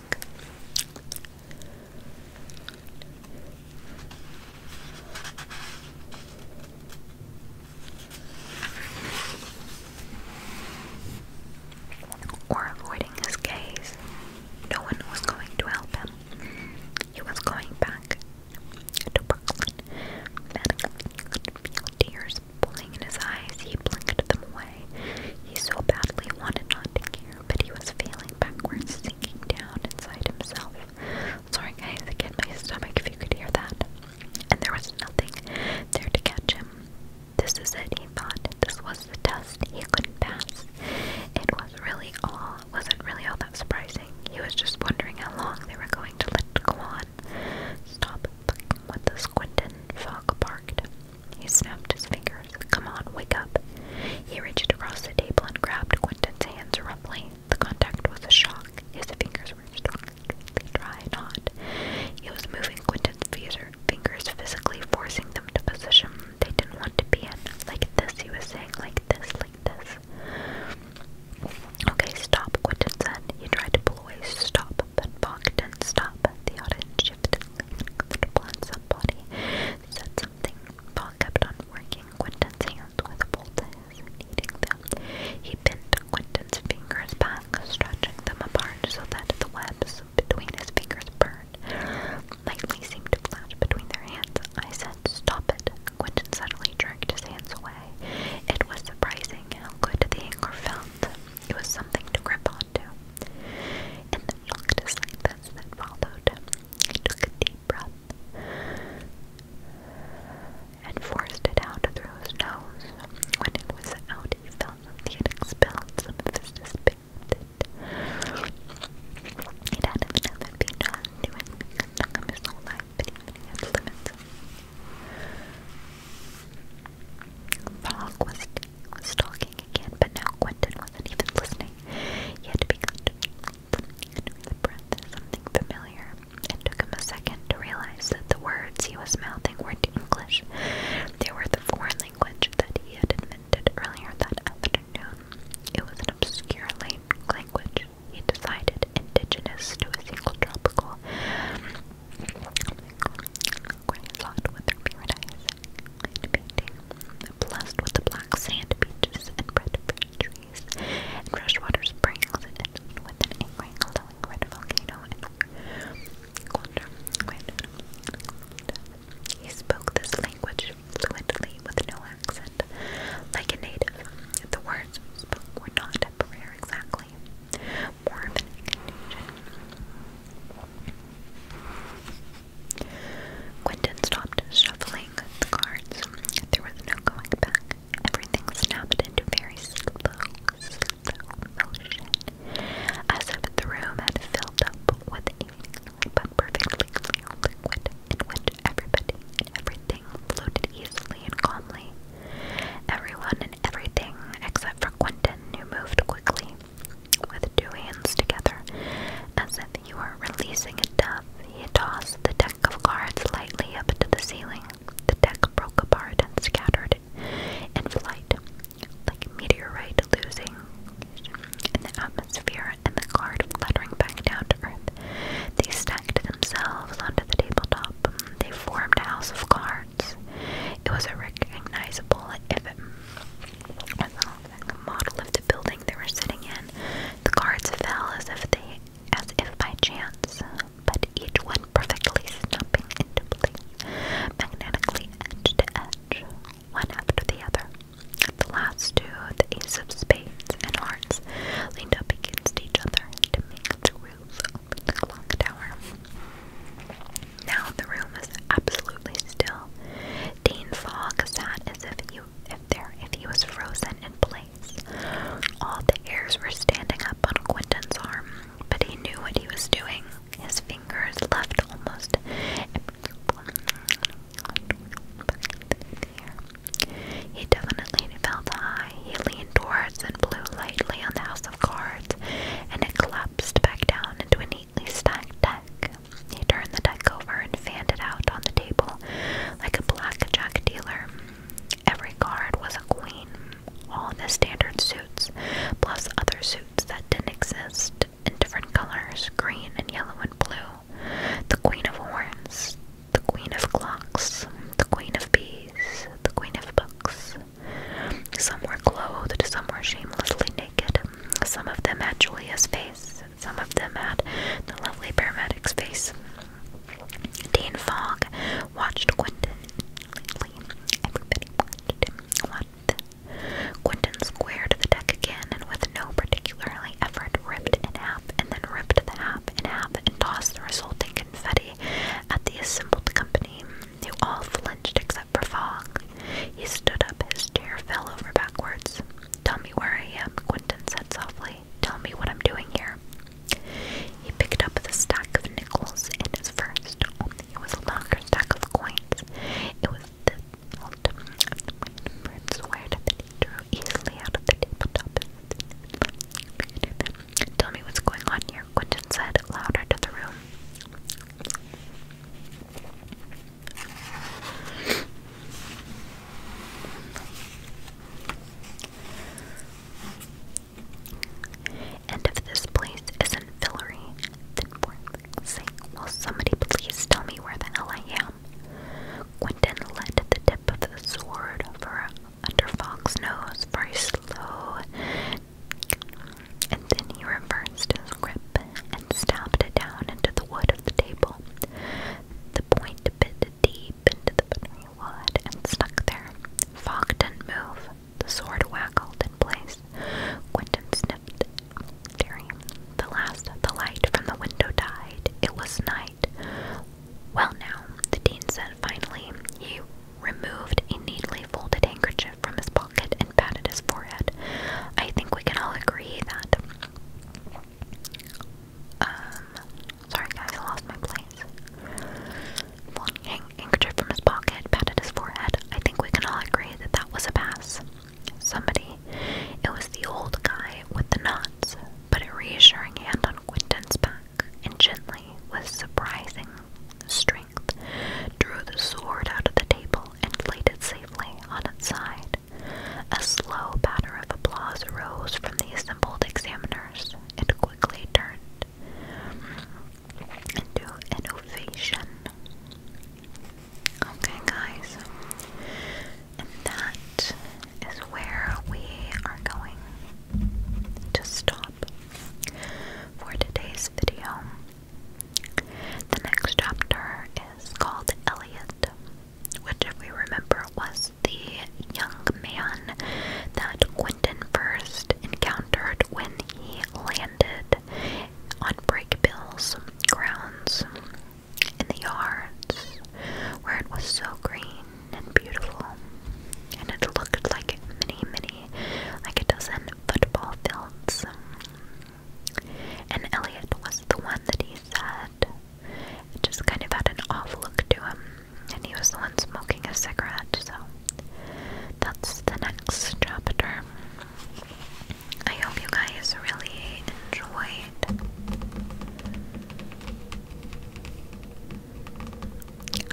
or avoiding his gaze. No one was going to help him. He was going back to Brooklyn. Madeline tears pulling in his eyes. He blinked them away. He so badly wanted not to care, but he was failing backwards, sinking down inside himself. Sorry guys, again, my stomach, if you could hear that and there was nothing there to catch him. This is it, he thought. This was the test he couldn't pass. It was really all wasn't really all that surprising. He was just wondering how long they were going to let it go Stop fucking with the Quentin, Fogg barked. He snapped his fingers. Come on, wake up. He reached across the table and grabbed Quentin's hands roughly. The contact was a shock. His fingers were stuck try not. He was moving Quentin's fingers physically, forcing them to position they didn't want to be in. Like this, he was saying, like this, like this. Okay, stop, Quentin said. He tried to pull away, stop, but Bach didn't stop. The audience shifted, leaning upon somebody. They said something. Bach kept on working Quentin's hands with a bolt needing them. He bent Quentin's fingers back, stretching them apart so that the webs between his fingers burned. Lightly seemed to flash between their hands. I said, Stop it. Quentin suddenly jerked his hands away. It was surprising how good the anchor felt. It was something to grip onto. In the shocked silence that followed, took a deep breath and forced it out through his nose. When it was out, he felt he had expelled some of his despair. he had enough of being done to him. He his whole life, but he had limits. Frog was, was talking again, but now Quentin wasn't even listening. He had begun to breathe, and with the breath something familiar it took him a second to realize that the words he was mouthing weren't English. They were the foreign language that he had invented earlier that afternoon. It was an obscure language, he decided, indigenous to a single tropical resort paradise blessed with black sand beaches and bread trees and freshwater springs and with an angry he spoke this language fluently with no accent, like a native. The words he were not prayer exactly, more of an incantation. Quentin stopped shuffling the cards. There was no going back. Everything snapped into very slow as if the room had filled up with a perfectly clear liquid in which everybody everything floated easily and calmly. Everyone and everything except for Quentin, who moved quickly with two hands together, as if he were releasing a dove. He tossed the deck of cards lightly up to the ceiling. The deck broke apart and scattered in flight, like a meteorite losing in the atmosphere and the card fluttering back down to earth. They stacked themselves onto the tabletop. They formed a house of cards. It was a recognizable model of the building they were sitting in. The cards fell as if they as if by chance but each one perfectly snapping into place, magnetically edge to edge, one after the other. The last two, the ace of spades and hearts, leaned up against each other to make the roof over the clock tower. Now the room was absolutely still. Dean Fogg sat as if you if there he was frozen in place. All the heirs were standing up on Quentin's arm, but he knew what he was doing. His fingers left almost He definitely felt high. He leaned towards and blew lightly on the house of cards, and it collapsed back down into a neatly stacked deck. He turned the deck over and fanned it out on the table like a blackjack dealer. Every guard was a queen, all in the standard suits, plus other suits that didn't exist in different colors green and yellow and blue. The Queen of Horns, the Queen of Clocks, the Queen of Bees, the Queen of Books. Some were clothed, some were shamelessly naked. Some of them had Julia's face, some of them had the lovely paramedic's face. Dean Fogg watched Quentin Lovely. Quentin squared the deck again and with no particularly effort ripped in half and then ripped the half in half and tossed the resulting confetti at the assembled company, They all flinched except for Fogg. He stood up, his chair fell over backwards. Tell me where I am, Quentin said softly. Tell me what I'm doing here. He picked up the stack of nickels in his first, only it was a longer stack of coins. It was the old of the wind bird sword that drew easily out of the tabletop. Tell me what's going on here, Quentin said louder to the room. And if this place isn't Fillory, then for somebody please tell me where the hell I am? Quentin let the tip of the sword for under nose very slow, and then he reversed his grip and stabbed it down into the wood of the table. The point bit deep into the wood and stuck there. Fogg didn't move, the sword wackled in place. Quentin sniffed, The last the light from the window died. It was night. Well now, the dean said finally. He removed a neatly folded handkerchief from his pocket and patted his forehead. I think we can all agree that um, sorry guys, I lost my place something, inked it from his pocket, patted his forehead. I think we can all agree that that was a pass. Somebody. It was the old guy with the knots, but a reassuring hand on Quinton's back, and gently, with surprising strength, drew the sword out of the table and laid it safely on its side. A slow patter of applause arose from the assembled examiners. It quickly turned into innovation. Okay, guys, and that is where we are going to stop for today's video. The next chapter is called Eliot, which, if we remember, was the young man that Gwen London first encountered when he landed on Breakbill's grounds in the yards, where it was so green and beautiful, and it looked like many, many, like a dozen football fields. And Elliot was the one that he said. It just kind of had an off look to him and he was the one smoking a cigarette, so that's the next chapter. I hope you guys really enjoyed.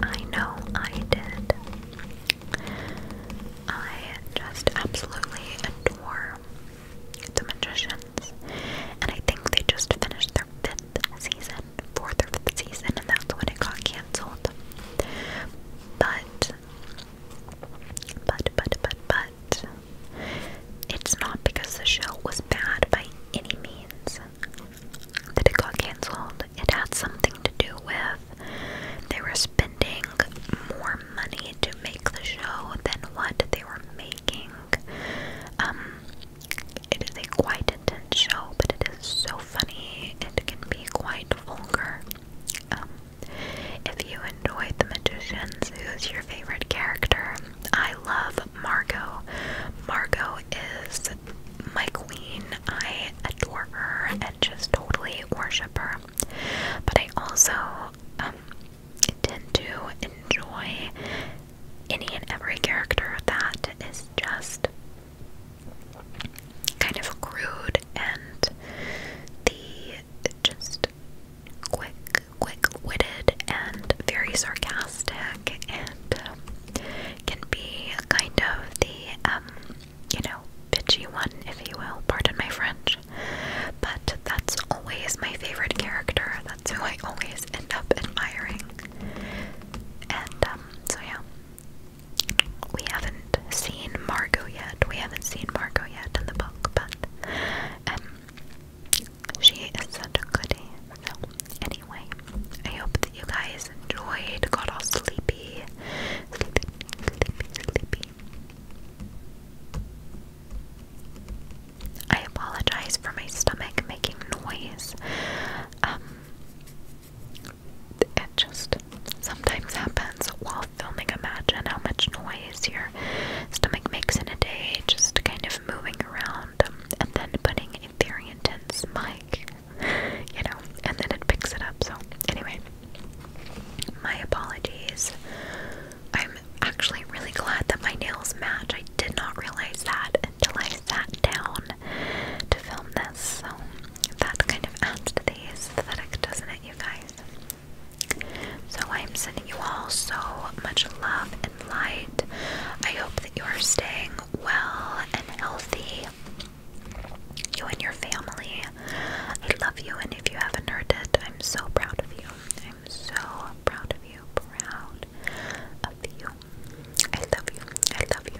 I know I did. I just absolutely adore the magicians, and I think they just finished their fifth season fourth season, and that's when it got canceled. But, but, but, but, but, it's not because the show was bad by any means that it got canceled. It had something to do with they were spending more money to make the show than what they were making. Um, it is a quite intense show, but it is so funny, it can be quite vulgar. Um, if you enjoyed The Magicians, who's your favorite character? I love Margot. Margot is my queen. I adore her and just totally worship her. But I also um, tend to enjoy any and every character that is just kind of crude and the just quick, quick witted and very sarcastic and um, can be kind of the, um, you know, bitchy one, if you will. Pardon my French. But that's always my favorite character. That's who I always end up admiring. And, um, so yeah, we haven't seen Margot yet. We haven't seen Margot yet in the book, but um, she is such a goodie. So, anyway, I hope that you guys enjoyed. Got all sleepy, I apologize for my stomach making noise. Um, it just sometimes happens while filming. Imagine how much noise your stomach makes in a day, just kind of moving around and then putting a very intense mic, you know, and then it picks it up. So, anyway, my apologies. I'm actually really glad that my nails match. I did not realize that until I sat down to film this, so that kind of adds to the aesthetic, doesn't it, you guys? So I'm sending you all so much love and light. I hope that you are staying well and healthy. You and your family. I love you, and if you haven't heard it, I'm so proud of you. I'm so proud of you. Proud of you. I love you. I love you.